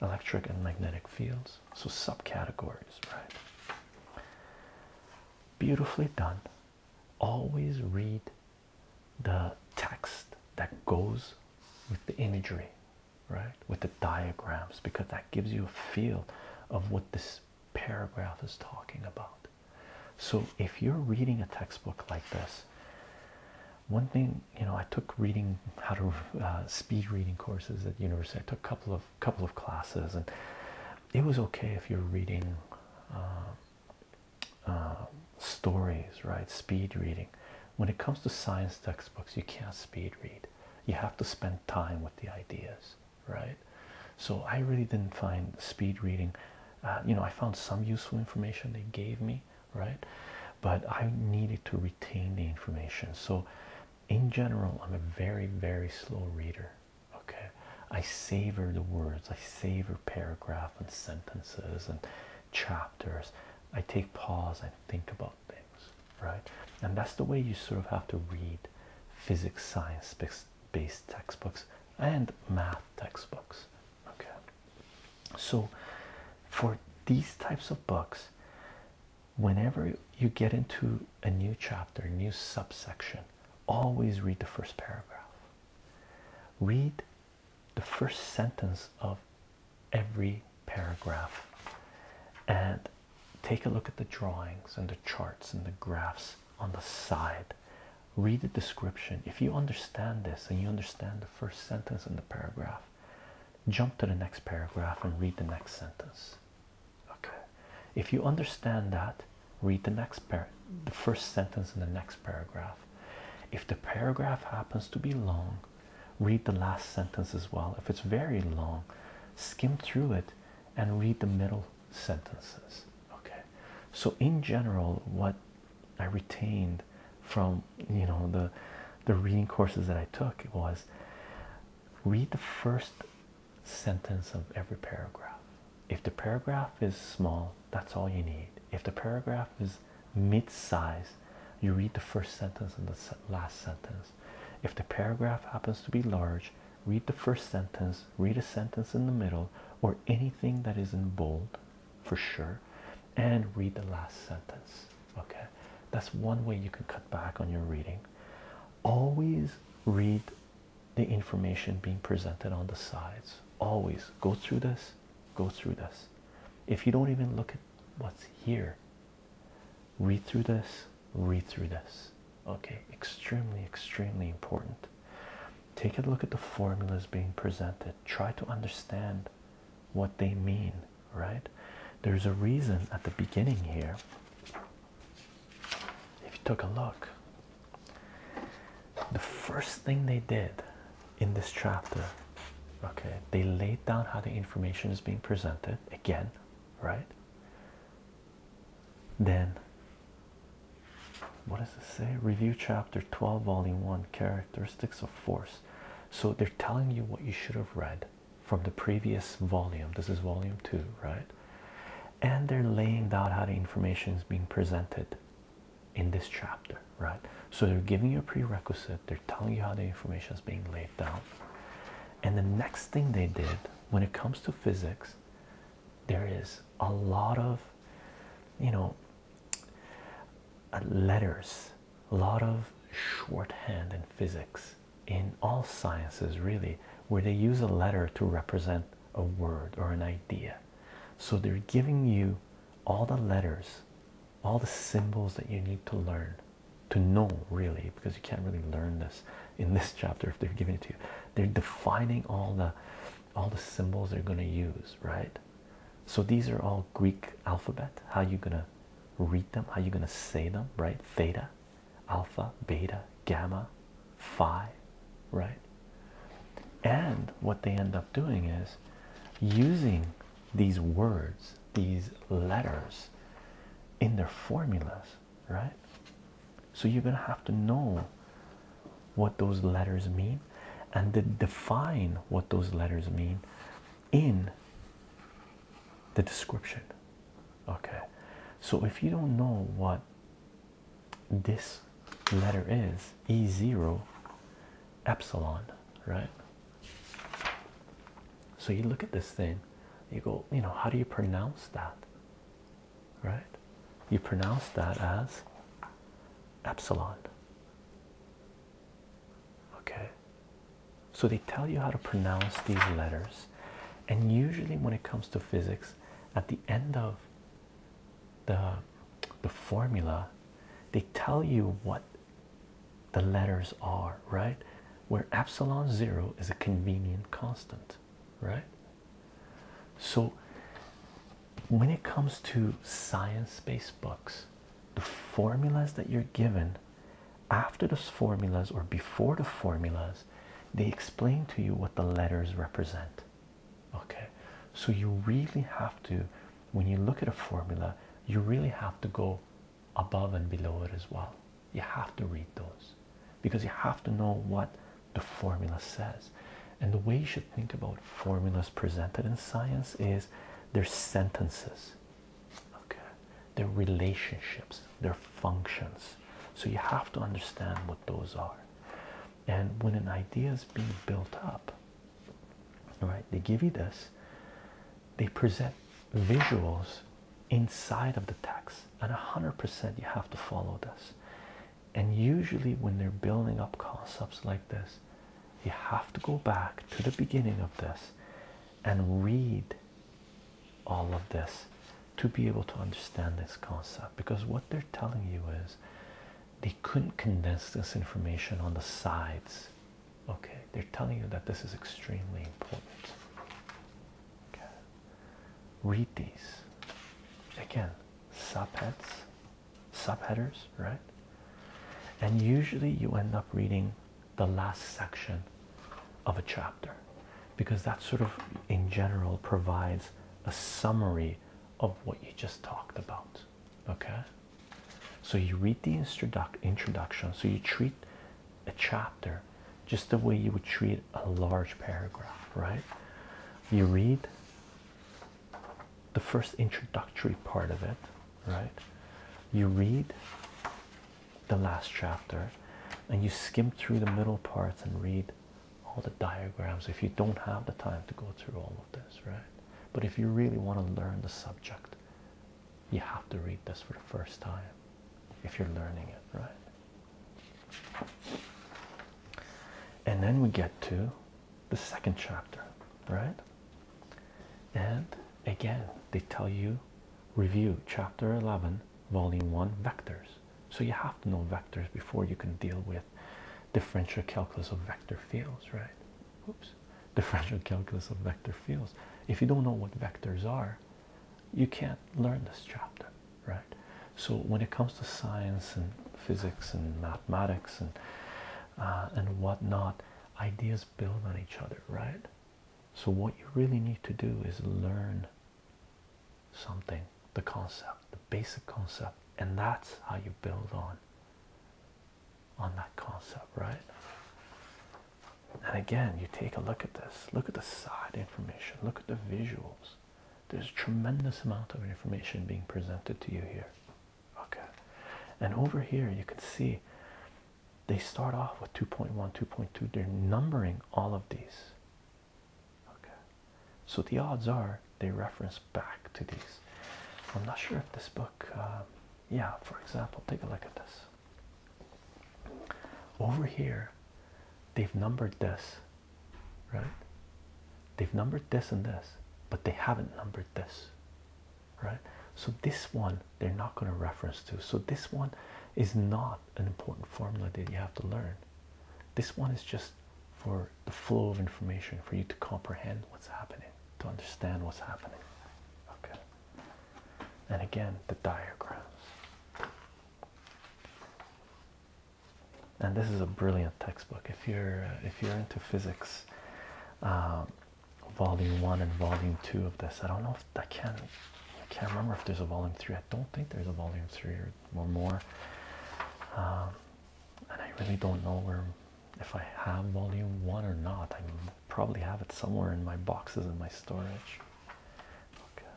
electric and magnetic fields, so subcategories, right? Beautifully done. Always read the text that goes with the imagery, right? With the diagrams, because that gives you a feel of what this paragraph is talking about. So, if you're reading a textbook like this, one thing you know, I took reading how to uh, speed reading courses at university. I took a couple of couple of classes, and it was okay if you're reading. Uh, uh, stories, right? Speed reading. When it comes to science textbooks, you can't speed read. You have to spend time with the ideas, right? So I really didn't find speed reading. Uh, you know, I found some useful information they gave me, right? But I needed to retain the information. So, in general, I'm a very, very slow reader. Okay, I savor the words, I savor paragraph and sentences and chapters i take pause I think about things right and that's the way you sort of have to read physics science based textbooks and math textbooks okay so for these types of books whenever you get into a new chapter new subsection always read the first paragraph read the first sentence of every paragraph and take a look at the drawings and the charts and the graphs on the side read the description if you understand this and you understand the first sentence in the paragraph jump to the next paragraph and read the next sentence okay if you understand that read the next par the first sentence in the next paragraph if the paragraph happens to be long, read the last sentence as well. If it's very long, skim through it and read the middle sentences. Okay, so in general, what I retained from you know the the reading courses that I took was read the first sentence of every paragraph. If the paragraph is small, that's all you need. If the paragraph is mid size, you read the first sentence and the last sentence. If the paragraph happens to be large, read the first sentence, read a sentence in the middle, or anything that is in bold for sure, and read the last sentence. Okay, that's one way you can cut back on your reading. Always read the information being presented on the sides. Always go through this go through this. If you don't even look at what's here, read through this, read through this. Okay, extremely, extremely important. Take a look at the formulas being presented, try to understand what they mean, right? There's a reason at the beginning here. If you took a look, the first thing they did in this chapter, okay, they laid down how the information is being presented again, right? Then, what does it say? Review chapter 12, volume 1 characteristics of force. So they're telling you what you should have read from the previous volume. This is volume 2, right? And they're laying down how the information is being presented in this chapter, right? So they're giving you a prerequisite, they're telling you how the information is being laid down. And the next thing they did when it comes to physics, there is a lot of, you know, letters, a lot of shorthand in physics, in all sciences, really, where they use a letter to represent a word or an idea. So they're giving you all the letters all the symbols that you need to learn to know really because you can't really learn this in this chapter if they're giving it to you they're defining all the all the symbols they're going to use right so these are all greek alphabet how you gonna read them how you gonna say them right theta alpha beta gamma phi right and what they end up doing is using these words, these letters in their formulas, right? So you're going to have to know what those letters mean and to define what those letters mean in the description. Okay, so if you don't know what this letter is E0, epsilon, right? So you look at this thing, you go, you know, how do you pronounce that? Right? You pronounce that as epsilon. Okay. So they tell you how to pronounce these letters, and usually when it comes to physics, at the end of the the formula they tell you what the letters are right where epsilon 0 is a convenient constant right so when it comes to science-based books the formulas that you're given after those formulas or before the formulas they explain to you what the letters represent okay so you really have to when you look at a formula, you really have to go above and below it as well. You have to read those because you have to know what the formula says. And the way you should think about formulas presented in science is they're sentences, okay? They're relationships, they're functions. So you have to understand what those are. And when an idea is being built up, all right, they give you this, they present visuals inside of the text, and 100% you have to follow this. And usually, when they're building up concepts like this, you have to go back to the beginning of this and read all of this to be able to understand this concept because what they're telling you is they couldn't condense this information on the sides. Okay, they're telling you that this is extremely important. Okay. Read these again, subheads, subheaders, right? And usually you end up reading the last section of a chapter because that sort of in general provides a summary of what you just talked about. Okay. So you read the introduction. So you treat a chapter just the way you would treat a large paragraph, right? You read the first introductory part of it, right? You read the last chapter and you skim through the middle parts and read all the diagrams if you don't have the time to go through all of this, right? But if you really want to learn the subject, you have to read this for the first time if you're learning it, right? And then we get to the second chapter, right? And again, they tell you review chapter 11, volume 1 vectors. So you have to know vectors before you can deal with differential calculus of vector fields, right? oops, differential calculus of vector fields. If you don't know what vectors are, you can't learn this chapter, right? So when it comes to science and physics and mathematics and uh, and whatnot, ideas build on each other, right? So what you really need to do is learn something, the concept, the basic concept, and that's how you build on on that concept, right? And again, you take a look at this. Look at the side information. Look at the visuals. There's a tremendous amount of information being presented to you here. Okay. And over here, you can see they start off with 2.1, 2.2. They're numbering all of these. Okay. So the odds are they reference back to these. I'm not sure if this book. Uh, yeah for example take a look at this over here they've numbered this right they've numbered this and this but they haven't numbered this right so this one they're not going to reference to so this one is not an important formula that you have to learn this one is just for the flow of information for you to comprehend what's happening to understand what's happening. Okay. And again, the diagrams. And this is a brilliant textbook. If you're uh, if you're into physics, um, volume one and volume two of this. I don't know if I can I can't remember if there's a volume three. I don't think there's a volume three or, or more. Um, and I really don't know where if I have volume one or not. I probably have it somewhere in my boxes in my storage. Okay.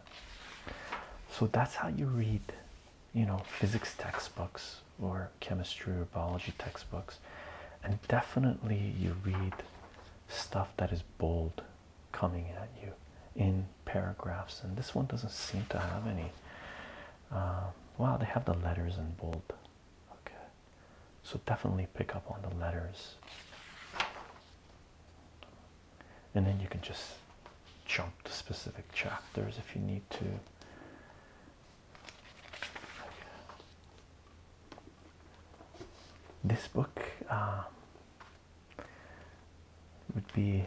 So that's how you read, you know, physics textbooks or chemistry or biology textbooks. And definitely you read stuff that is bold coming at you in paragraphs. And this one doesn't seem to have any. Uh, wow, they have the letters in bold. Okay, so definitely pick up on the letters, and then you can just jump to specific chapters if you need to. This book um, would be.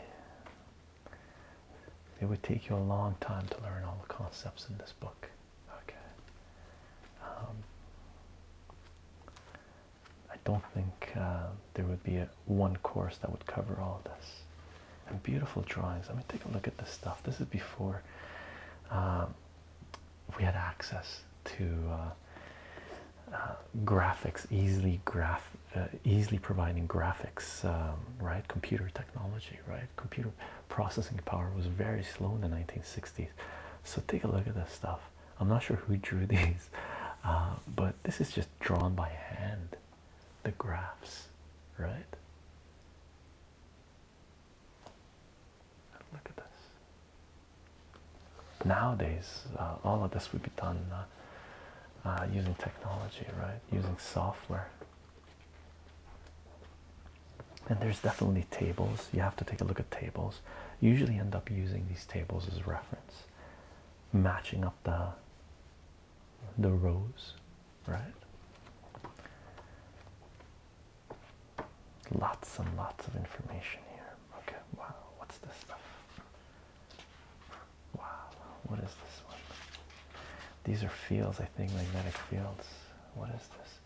It would take you a long time to learn all the concepts in this book. Okay. Um, I don't think uh, there would be a, one course that would cover all this. And beautiful drawings. Let me take a look at this stuff. This is before um, we had access to uh, uh, graphics, easily graph, easily providing graphics, um, right? Computer technology, right? Computer processing power was very slow in the 1960s. So take a look at this stuff. I'm not sure who drew these, uh, but this is just drawn by hand. The graphs, right? Look at this. Nowadays, uh, all of this would be done uh, using technology, right? Using software. And there's definitely tables. You have to take a look at tables. usually end up using these tables as reference, matching up the the rows, right? Lots and lots of information here. Okay, wow, what's this stuff? Wow, what is this one? These are fields, I think, magnetic fields. What is this?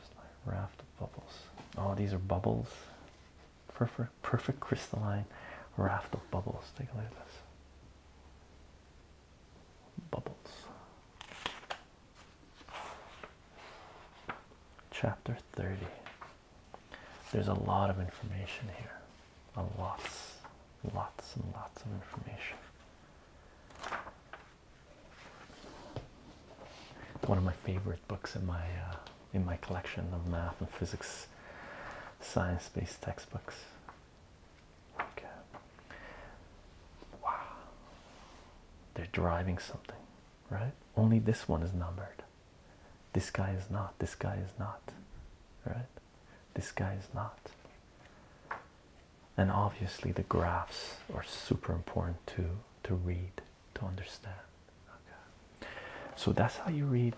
Just raft of bubbles. Oh, these are bubbles. Perfect, perfect crystalline raft of bubbles. Take a look at this. Bubbles. Chapter 30. There's a lot of information here. A lots, lots and lots of information. One of my favorite books in my uh, in my collection of math and physics, science-based textbooks. Wow. They're driving something, right? Only this one is numbered. This guy is not. This guy is not, right? This guy is not. And obviously, the graphs are super important to to read to understand. Okay, so that's how you read,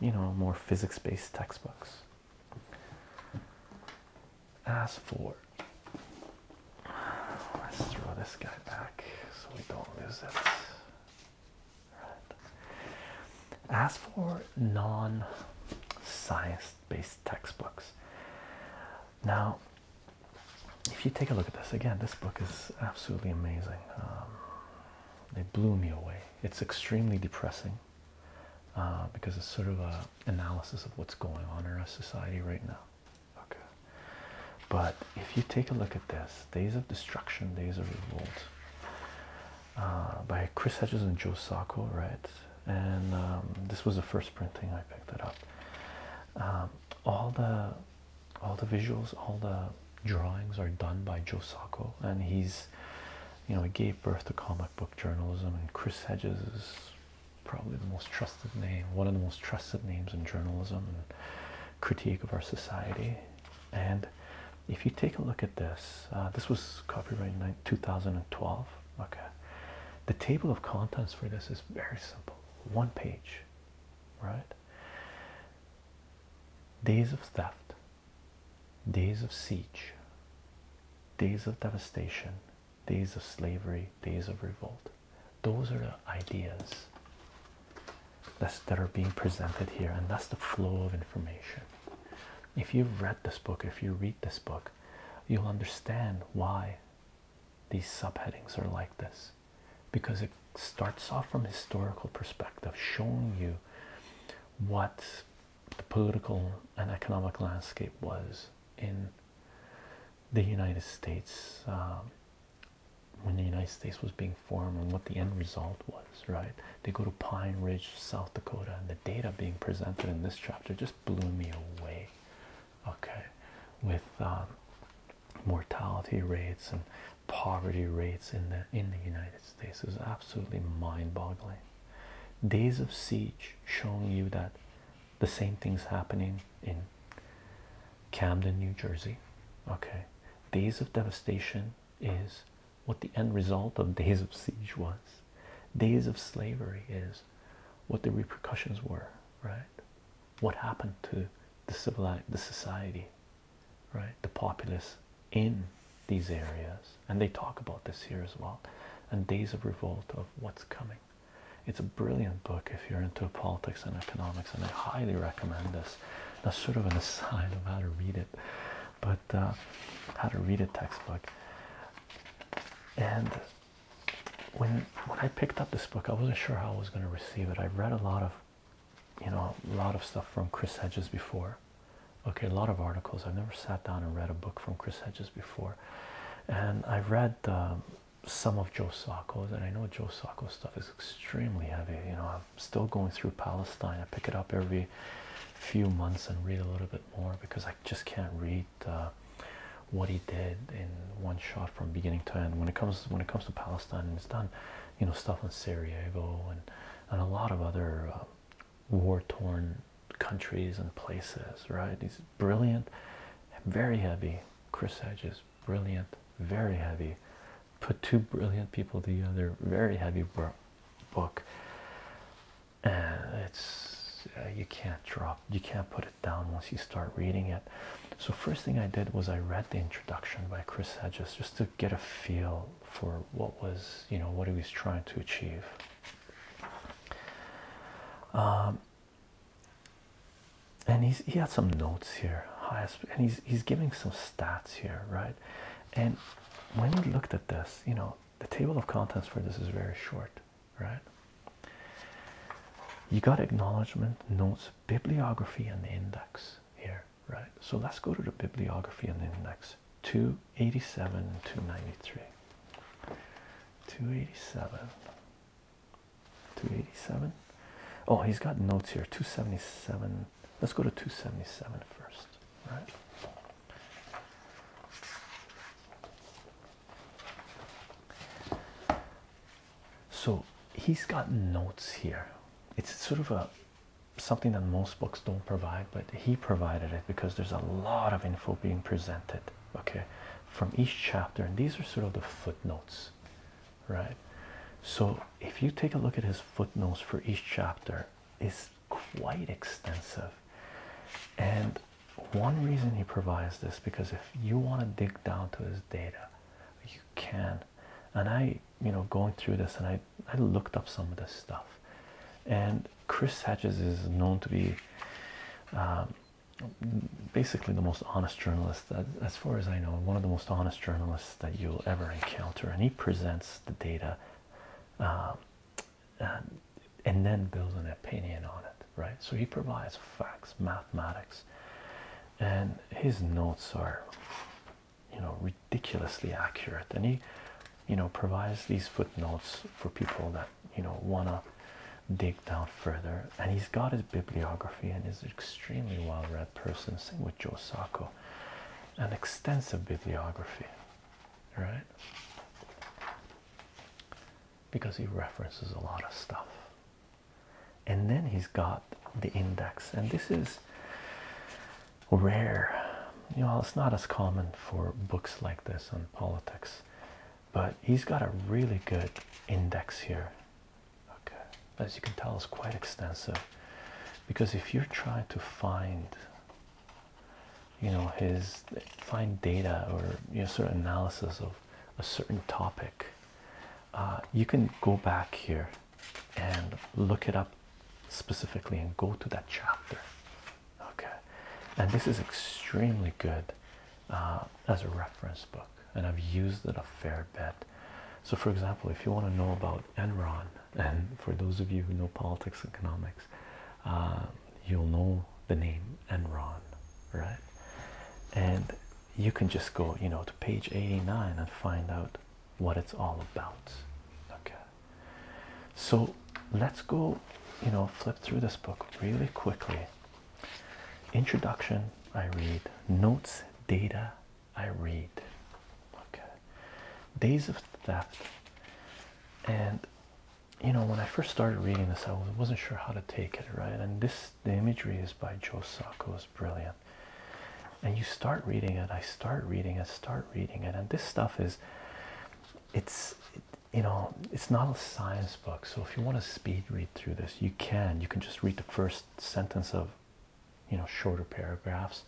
you know, more physics-based textbooks. As for let's throw this guy back so we don't lose it. As for non-science based textbooks. Now, if you take a look at this again, this book is absolutely amazing. Um, it blew me away. It's extremely depressing uh, because it's sort of an analysis of what's going on in our society right now. Okay. But if you take a look at this, Days of Destruction, Days of Revolt, uh, by Chris Hedges and Joe Sacco, right? and um, this was the first printing I picked it up. Um, all the all the visuals, all the drawings are done by Joe Sacco, and he's you know he gave birth to comic book journalism, and Chris Hedges is probably the most trusted name, one of the most trusted names in journalism and critique of our society. And if you take a look at this, uh, this was copyright 2012 okay the table of contents for this is very simple one page right days of theft days of siege days of devastation days of slavery days of revolt those are the ideas that's that are being presented here and that's the flow of information if you've read this book, if you read this book, you'll understand why these subheadings are like this because it starts off from historical perspective, showing you what the political and economic landscape was in the United States um, when the United States was being formed and what the end result was, right? They go to Pine Ridge, South Dakota, and the data being presented in this chapter just blew me away. Okay, with um, mortality rates and poverty rates in the in the United States is absolutely mind-boggling. Days of Siege showing you that the same thing's happening in Camden, New Jersey. Okay, Days of Devastation is what the end result of Days of Siege was. Days of Slavery is what the repercussions were, right? What happened to the civil the society, right? The populace in these areas, and they talk about this here as well. And Days of Revolt of What's Coming. It's a brilliant book if you're into politics and economics, and I highly recommend this. That's sort of an aside of how to read it, but uh, how to read a textbook and when when I picked up this book, I wasn't sure how I was going to receive it. I've read a lot of, you know, a lot of stuff from Chris Hedges before. Okay, a lot of articles. I've never sat down and read a book from Chris Hedges before, and I've read um, some of Joe Sacco's, and I know Joe Sacco's stuff is extremely heavy. You know, I'm still going through Palestine. I pick it up every few months and read a little bit more because I just can't read uh, what he did in one shot from beginning to end. When it comes when it comes to Palestine, and it's done, you know, stuff in Sarajevo and and a lot of other uh, war-torn countries and places. Right? He's brilliant, very heavy. Chris Edge is brilliant, very heavy. Put two brilliant people together. Very heavy book and uh, it's uh, you can't drop you can't put it down once you start reading it so first thing i did was i read the introduction by chris hedges just to get a feel for what was you know what he was trying to achieve um, and he's he had some notes here and he's he's giving some stats here right and when we looked at this you know the table of contents for this is very short right? You got acknowledgement, notes, bibliography, and index here, right? So let's go to the bibliography and index 287 and 293. 287. 287. Oh, he's got notes here 277. Let's go to 277 first, right? So he's got notes here. It's sort of a something that most books don't provide, but he provided it because there's a lot of info being presented, okay, from each chapter. And these are sort of the footnotes, right? So if you take a look at his footnotes for each chapter, it's quite extensive. And one reason he provides this because if you want to dig down to his data you can and i you know going through this and i i looked up some of this stuff and chris hedges is known to be um, basically the most honest journalist as far as i know one of the most honest journalists that you'll ever encounter and he presents the data um, and, uh, and then builds an opinion on it, right? So he provides facts, mathematics, and his notes are, you know, ridiculously accurate. And he, you know, provides these footnotes for people that, you know, want to dig down further. And he's got his bibliography and is extremely well read person, same with Joe Sacco. An extensive bibliography, right? because he references a lot of stuff. And then he's got the index, and this is rare. You know, it's not as common for books like this on politics, but he's got a really good index here. Okay, as you can tell, it's quite extensive because if you're trying to find you know his find data or you know sort of analysis of a certain topic uh, you can go back here and look it up specifically and go to that chapter okay and this is extremely good uh, as a reference book and I've used it a fair bit so for example if you want to know about Enron and for those of you who know politics and economics um, you'll know the name Enron, right? And you can just go, you know, to page 89 and find out what it's all about. Okay. So let's go, you know, flip through this book really quickly. Introduction, I read. Notes, data, I read. Days of Theft. And you know, when I first started reading this, I wasn't sure how to take it, right? And this, the imagery is by Joe Sacco, is brilliant. And you start reading it, I start reading it, start reading it, and this stuff is, it's, you know, it's not a science book. So if you want to speed read through this, you can. You can just read the first sentence of, you know, shorter paragraphs.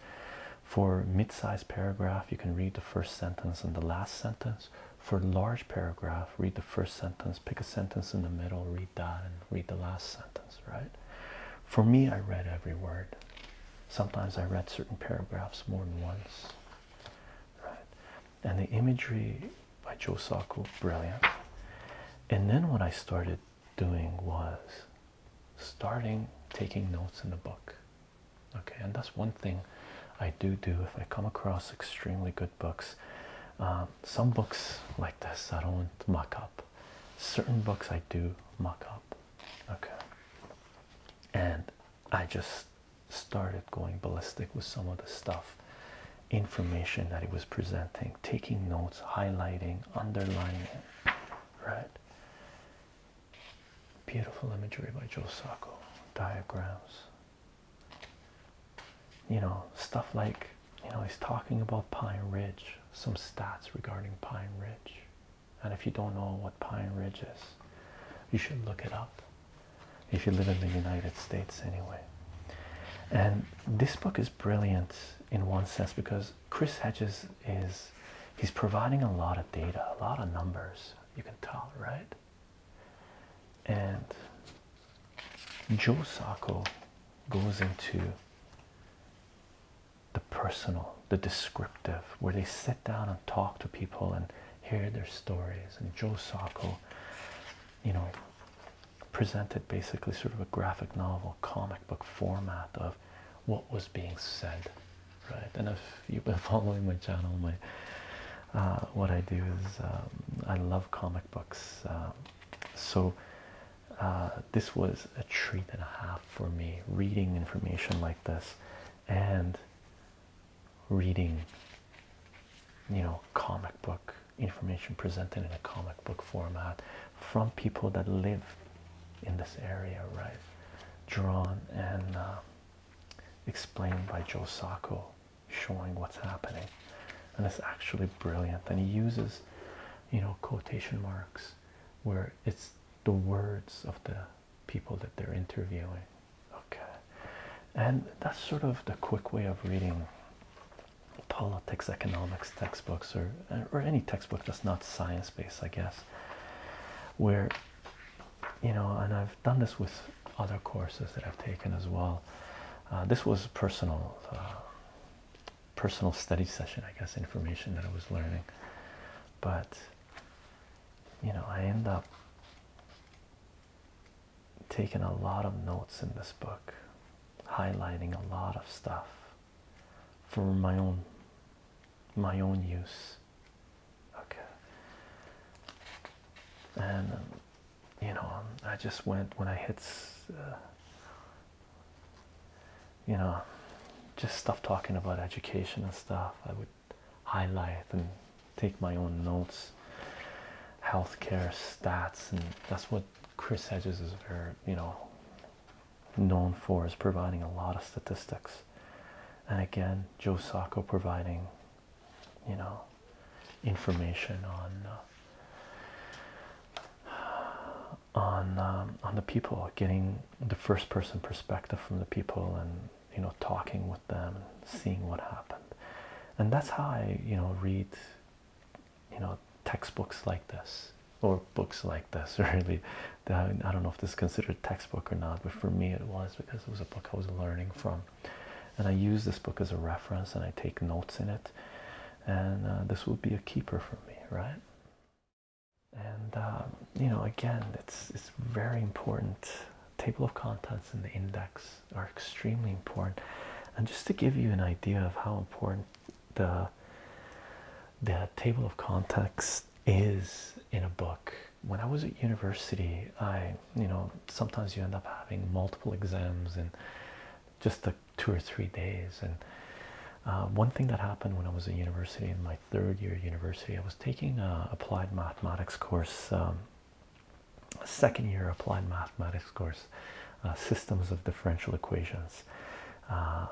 For mid-sized paragraph, you can read the first sentence and the last sentence for large paragraph read the first sentence pick a sentence in the middle read that and read the last sentence right for me i read every word sometimes i read certain paragraphs more than once right and the imagery by joe sacco brilliant and then what i started doing was starting taking notes in the book okay and that's one thing i do do if i come across extremely good books uh, some books like this i don't mock up certain books i do mock up okay and i just started going ballistic with some of the stuff information that he was presenting taking notes highlighting underlining right beautiful imagery by joe sacco diagrams you know stuff like you know he's talking about Pine Ridge some stats regarding Pine Ridge and if you don't know what Pine Ridge is you should look it up if you live in the United States anyway and this book is brilliant in one sense because Chris Hedges is he's providing a lot of data a lot of numbers you can tell right and Joe Sacco goes into the personal, the descriptive, where they sit down and talk to people and hear their stories. And Joe Sacco, you know, presented basically sort of a graphic novel, comic book format of what was being said, right? And if you've been following my channel, my uh, what I do is um, I love comic books. Uh, so uh, this was a treat and a half for me reading information like this, and reading, you know, comic book information presented in a comic book format from people that live in this area, right? Drawn and explained by Joe Sacco showing what's happening and it's actually brilliant and he uses you know quotation marks where it's the words of the people that they're interviewing okay and that's sort of the quick way of reading politics economics textbooks or or any textbook that's not science-based i guess where you know, and I've done this with other courses that I've taken as well. Uh, this was personal, uh, personal study session, I guess, information that I was learning. But you know, I end up taking a lot of notes in this book, highlighting a lot of stuff for my own my own use okay and um, you know um, I just went when I hit uh, you know just stuff talking about education and stuff I would highlight and take my own notes healthcare stats and that's what Chris Hedges is very you know known for is providing a lot of statistics and again Joe Sacco providing you know, information on uh, on um, on the people, getting the first person perspective from the people, and you know, talking with them, and seeing what happened, and that's how I you know read you know textbooks like this or books like this really i don't know if this is considered textbook or not but for me it was because it was a book i was learning from and I use this book as a reference and I take notes in it. And uh, this will be a keeper for me, right? And um, you know, again, it's it's very important. Table of contents and the index are extremely important. And just to give you an idea of how important the the table of contents is in a book, when I was at university, I you know sometimes you end up having multiple exams in just the two or three days. And uh, one thing that happened when I was at university in my third year at university, I was taking a applied mathematics course, um, second year applied mathematics course, uh, systems of differential equations. Uh,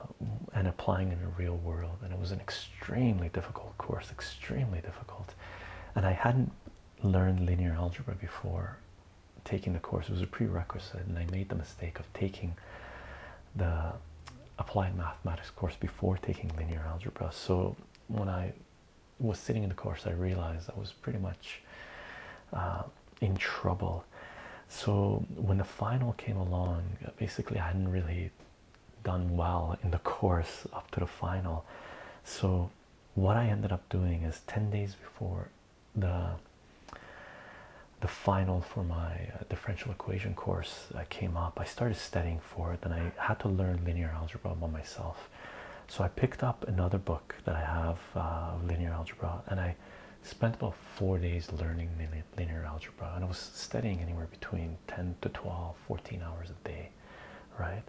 and applying in the real world, and it was an extremely difficult course, extremely difficult. And I hadn't learned linear algebra before taking the course. was a prerequisite, and I made the mistake of taking the applied mathematics course before taking linear algebra. So when I was sitting in the course, I realized I was pretty much uh, in trouble. So when the final came along, basically I hadn't really done well in the course up to the final. So what I ended up doing is 10 days before the the final for my uh, differential equation course uh, came up I started studying for it and I had to learn linear algebra by myself so I picked up another book that I have uh, linear algebra and I spent about four days learning linear algebra and I was studying anywhere between 10 to 12 14 hours a day right?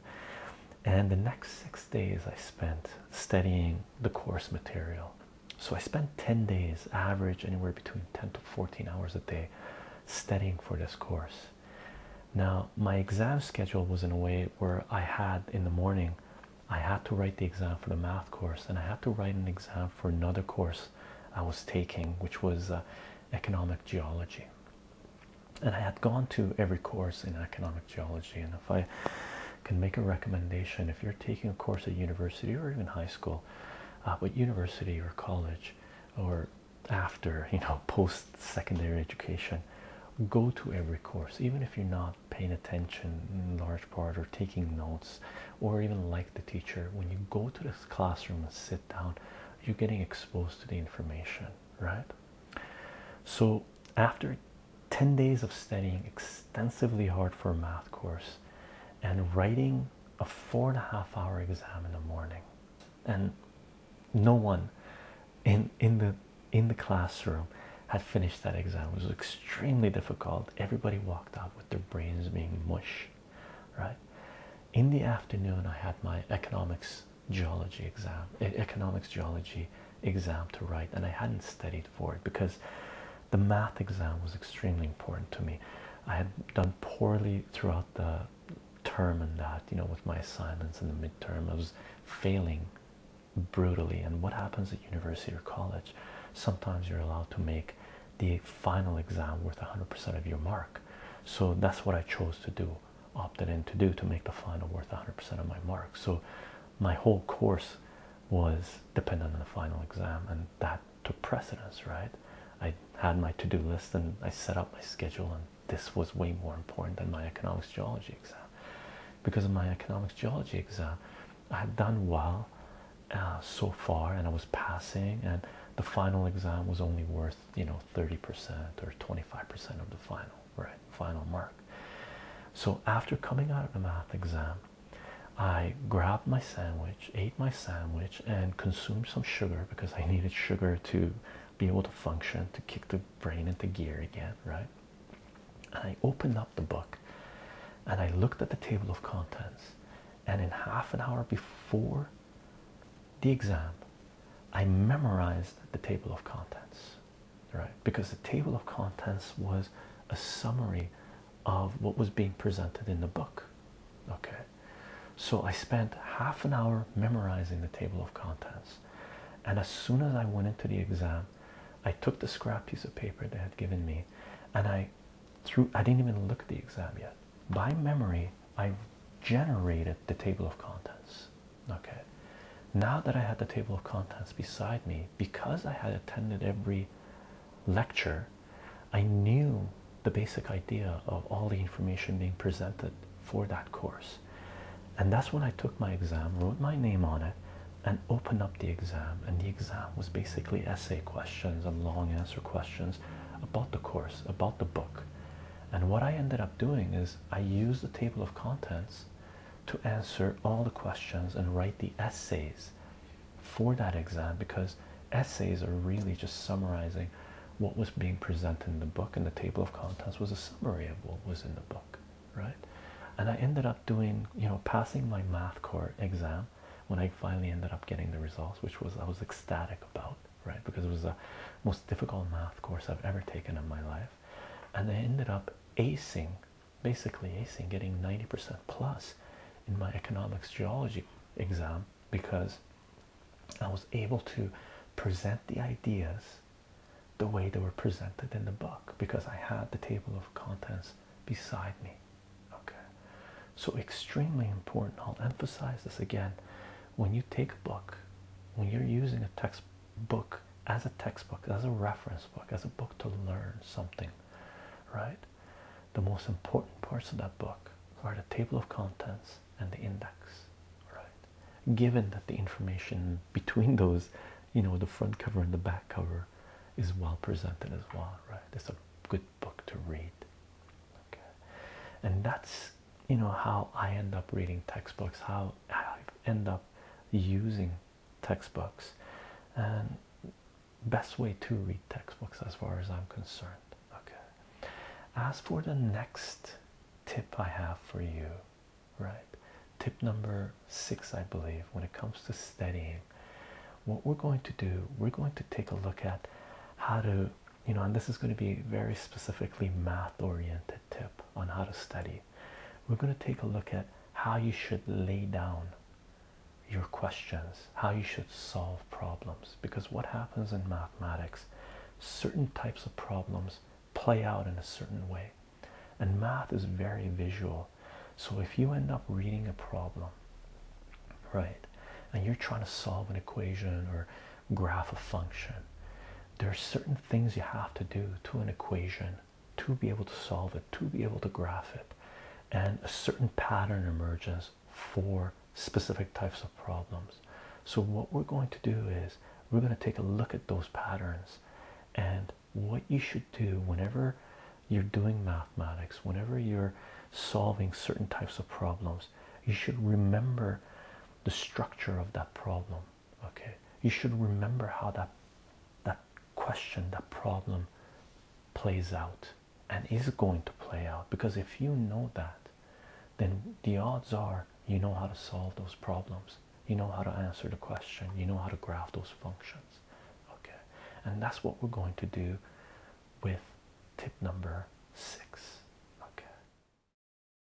And the next six days I spent studying the course material. So I spent 10 days, average anywhere between 10 to 14 hours a day, studying for this course. Now, my exam schedule was in a way where I had in the morning, I had to write the exam for the math course and I had to write an exam for another course I was taking, which was uh, economic geology and I had gone to every course in economic geology. And if I can make a recommendation, if you're taking a course at university or even high school, uh, but university or college or after, you know, post secondary education, go to every course, even if you're not paying attention in large part or taking notes or even like the teacher. When you go to this classroom and sit down, you're getting exposed to the information, right? So, after 10 days of studying extensively hard for a math course and writing a four and a half hour exam in the morning, and no one in in the in the classroom had finished that exam it was extremely difficult everybody walked out with their brains being mush right in the afternoon i had my economics geology exam economics geology exam to write and i hadn't studied for it because the math exam was extremely important to me i had done poorly throughout the term and that you know with my assignments and the midterm i was failing brutally and what happens at university or college sometimes you're allowed to make the final exam worth 100% of your mark so that's what i chose to do opted in to do to make the final worth 100% of my marks. So my whole course was dependent on the final exam, and that took precedence, right? I had my to do list and I set up my schedule, and this was way more important than my economics geology exam. Because of my economics geology exam, I had done well uh, so far and I was passing, and the final exam was only worth you know 30% or 25% of the final right final mark so after coming out of the math exam i grabbed my sandwich ate my sandwich and consumed some sugar because i needed sugar to be able to function to kick the brain into gear again right and i opened up the book and i looked at the table of contents and in half an hour before the exam, I memorized the table of contents, right? Because the table of contents was a summary of what was being presented in the book, okay? So I spent half an hour memorizing the table of contents, and as soon as I went into the exam, I took the scrap piece of paper they had given me and I threw I didn't even look at the exam yet. By memory, I generated the table of contents. Okay, now that I had the table of contents beside me, because I had attended every lecture, I knew the basic idea of all the information being presented for that course. And that's when I took my exam, wrote my name on it, and opened up the exam. And the exam was basically essay questions and long answer questions about the course, about the book. And what I ended up doing is I used the table of contents to answer all the questions and write the essays for that exam because essays are really just summarizing what was being presented in the book, and the table of contents was a summary of what was in the book, right? And I ended up doing, you know, passing my math core exam when I finally ended up getting the results, which was I was ecstatic about right? Because it was the most difficult math course I've ever taken in my life. And I ended up acing, basically acing, getting 90% plus in my economics geology exam because I was able to present the ideas the way they were presented in the book because I had the table of contents beside me. Okay, so extremely important. I'll emphasize this again. When you take a book, when you're using a text book as a textbook as a reference book as a book to learn something right the most important parts of that book are the table of contents and the index right given that the information between those you know the front cover and the back cover is well presented as well right it's a good book to read okay and that's you know how I end up reading textbooks, how I end up using textbooks, and best way to read textbooks as far as I'm concerned. Okay. As for the next tip I have for you, right? Tip number six, I believe, when it comes to studying, what we're going to do, we're going to take a look at how to, you know, and this is going to be very specifically math oriented tip on how to study. We're going to take a look at how you should lay down your questions, how you should solve problems. Because what happens in mathematics, certain types of problems play out in a certain way. And math is very visual. So if you end up reading a problem, right, and you're trying to solve an equation or graph a function, there are certain things you have to do to an equation to be able to solve it, to be able to graph it, and a certain pattern emerges for specific types of problems. So, what we're going to do is we're going to take a look at those patterns and what you should do whenever you're doing mathematics, whenever you're solving certain types of problems, you should remember the structure of that problem okay you should remember how that that question that problem plays out and is going to play out because if you know that then the odds are you know how to solve those problems you know how to answer the question you know how to graph those functions okay and that's what we're going to do with tip number six okay